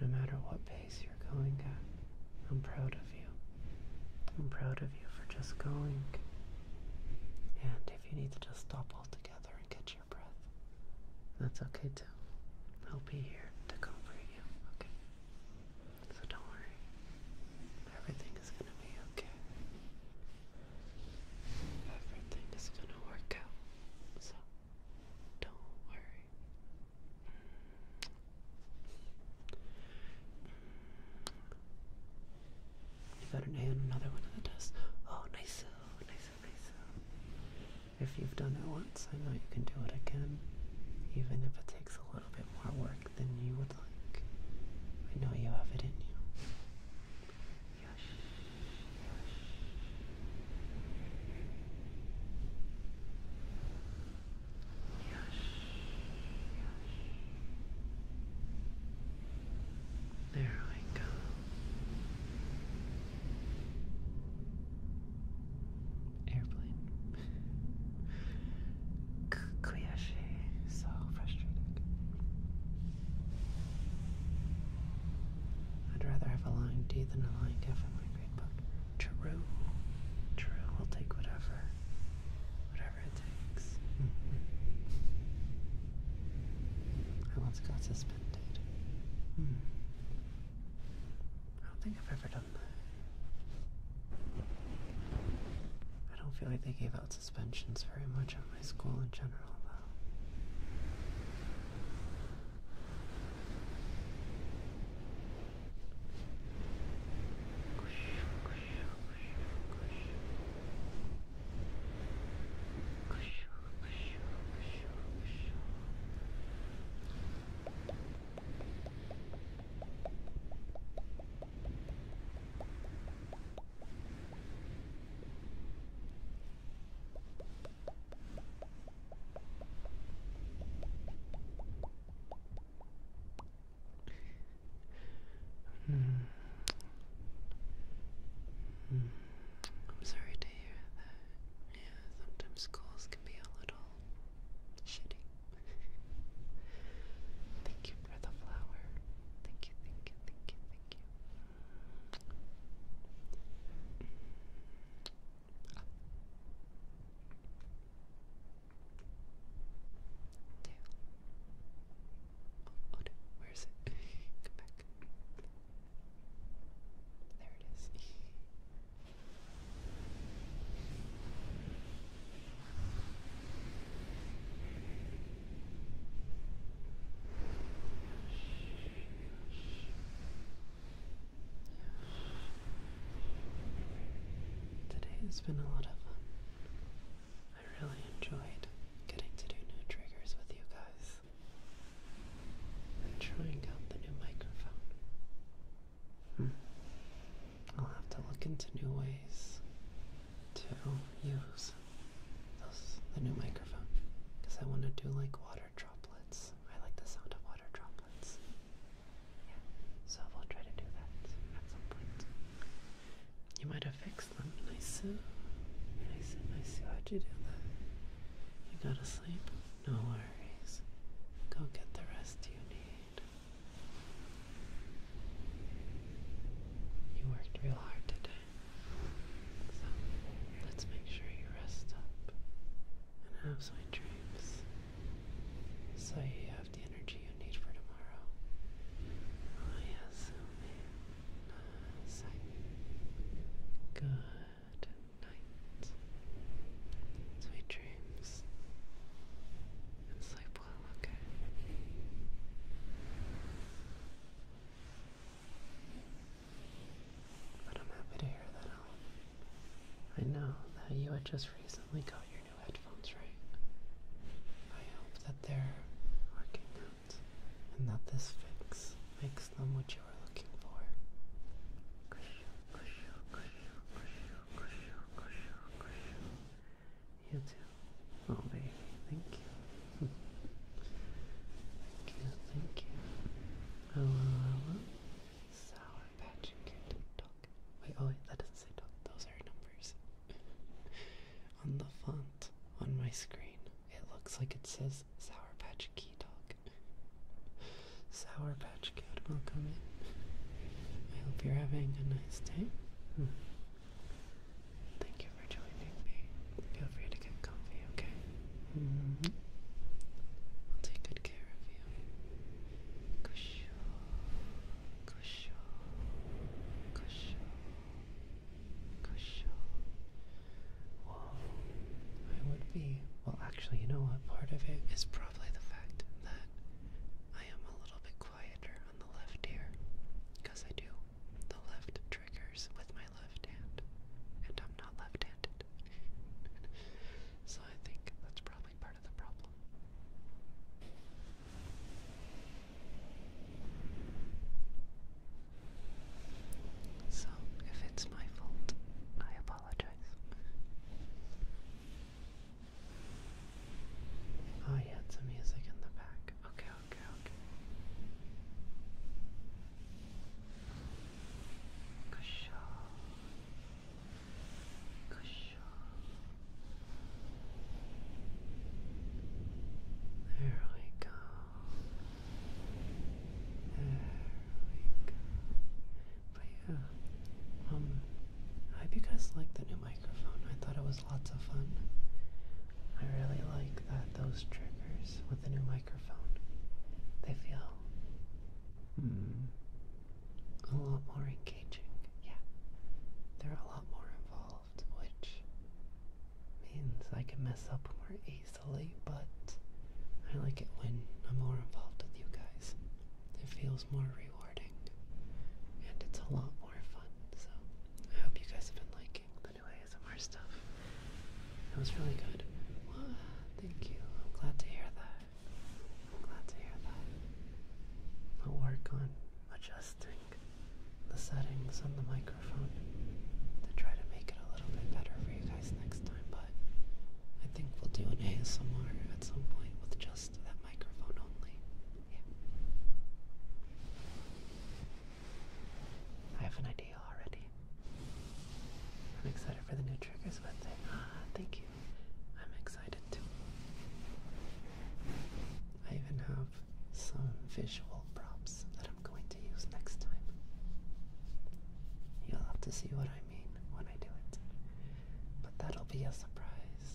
A: No matter what pace you're going at, I'm proud of you. I'm proud of you for just going. And if you need to just stop altogether and get that's okay too. I'll be here to comfort you, okay? So don't worry. Everything is going to be okay. Everything is going to work out. So don't worry. You got an A another one of the tests. oh, nice. Oh, if you've done it once, I know you can do it again, even if it takes a little bit more work than you would like. I know you have it in you. Yush, yush. There we go. Airplane. Koyashi, so frustrated. I'd rather have a line D than a line F in my grade book. True. True. I'll take whatever. Whatever it takes. I once got suspended. Hmm. I don't think I've ever done that. I don't feel like they gave out suspensions very much at my school in general, though.
B: Mm. Mm. I'm sorry to hear
A: that. Yeah sometimes schools can be a little shitty. thank you for the flower. Thank you, thank you, thank you, thank you. Up. Oh. Two. Oh, where is it? Come back. There it is. Today has been a lot of fun. I really enjoyed getting to do new triggers with you guys i trying out the new microphone. Hmm. I'll have to look into new ways to use the new microphone because I want to do like water droplets. I like the sound of water droplets. Yeah, so we'll try to do that at some point. You might have fixed them. Nice, nice, nice. How'd you do that? You gotta sleep? No worries. Go get the rest you need. You worked real hard today. So let's make sure you rest up and have some dreams. So you have the energy you need for tomorrow. Oh, yes, Good night, sweet dreams, and sleep well, okay? But I'm happy to hear that, I know that you had just recently got your new headphones, right? I hope that they're working out and that this fix makes ask them what you were looking for. You too. Oh, baby, thank you. thank you, thank you. Hello, hello. Sour patch kid. Dog. Wait, oh, wait, that doesn't say dog. Those are numbers. on the font on my screen, it looks like it says Sour Patch Key Dog. Sour Patch Kid, come in. I hope you're having a nice day. Hmm. Thank you for joining me. Feel free to get comfy, okay? Mm mm-hmm. will take good care of you. Cusho, cusho, cusho, cusho. I would be. Well, actually, you know what? Part of it is probably the fact that I am a little bit quieter on the left ear because I do the left triggers with my left hand, and I'm not left handed. so I think that's probably part of the problem. So, if it's my fault, I Oh, yeah, it's a music in the back. Okay, okay, okay. Kusha. Kusha. There we go. There we go. But yeah, um, I hope you guys like the new microphone. I thought it was lots of fun. I really like that those triggers with the new microphone, they feel hmm. a lot more engaging. Yeah, they're a lot more involved, which means I can mess up more easily easily, but I like it when I'm more involved with you guys. It feels more rewarding and it's a lot more fun. So I hope you guys have been liking the new ASMR stuff. It was really good. thank you. I'm glad to hear that. I'm glad to hear that. I'll work on adjusting the settings on the microphone to try to make it a little bit better for you guys next time, but I think we'll do an ASMR at some point with just that microphone only. Yeah. I have an idea already. I'm excited for the new triggers with Ah, thank you. I'm excited too. I even have some visual props that I'm going to use next time. You'll have to see what I when I do it. But that'll be a surprise.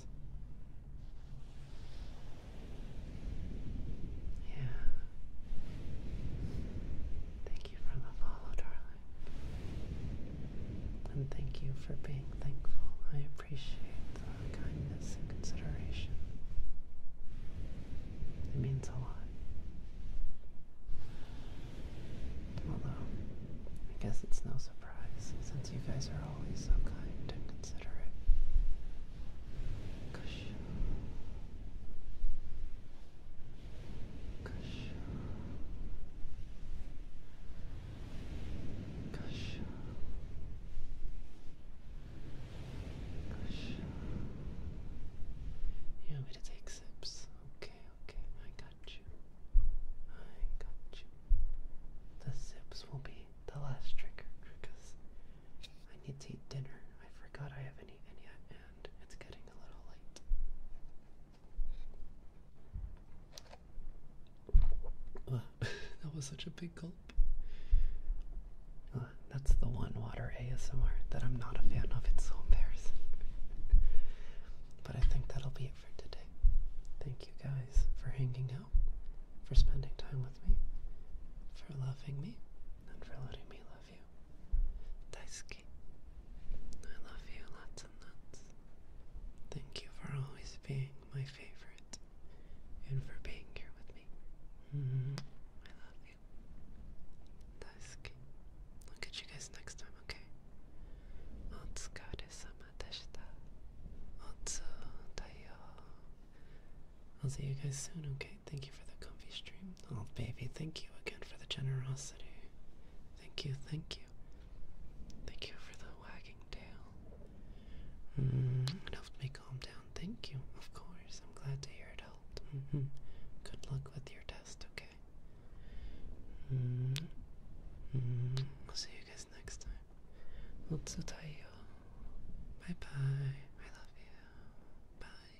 A: Yeah. Thank you for the follow, darling. And thank you for being thankful. I appreciate the kindness and consideration. It means a lot. Although, I guess it's no surprise since you guys are always so kind and considerate. Kush. You want to take sips? Okay, okay, I got you. I got you. The zips will be the last trigger because I need to eat dinner. I forgot I haven't eaten yet, and it's getting a little late. that was such a big gulp. that's the one water ASMR that I'm not a fan of. It's so embarrassing. But I think that'll be it for today. Thank you guys for hanging out, for spending time with me, for loving me, and for letting me love you. Daisuke, I love you lots and lots. Thank you for always being my favorite and for being here with me. Mm-hmm. I love you. Daisuke. I'll catch you guys next time, okay? お疲れ様でした。Otsu Tayo. I'll see you guys soon, okay? Thank you for the comfy stream. Oh, baby, thank you again for the generosity. Thank you, thank you. Thank you for the wagging tail. Mm, it helped me calm down. Thank you, of course. I'm glad to hear it helped. Mm -hmm. Good luck with your test, okay? Mm mm-hmm. I'll mm-hmm. see you guys next time. otsutai Bye bye. I love you. Bye.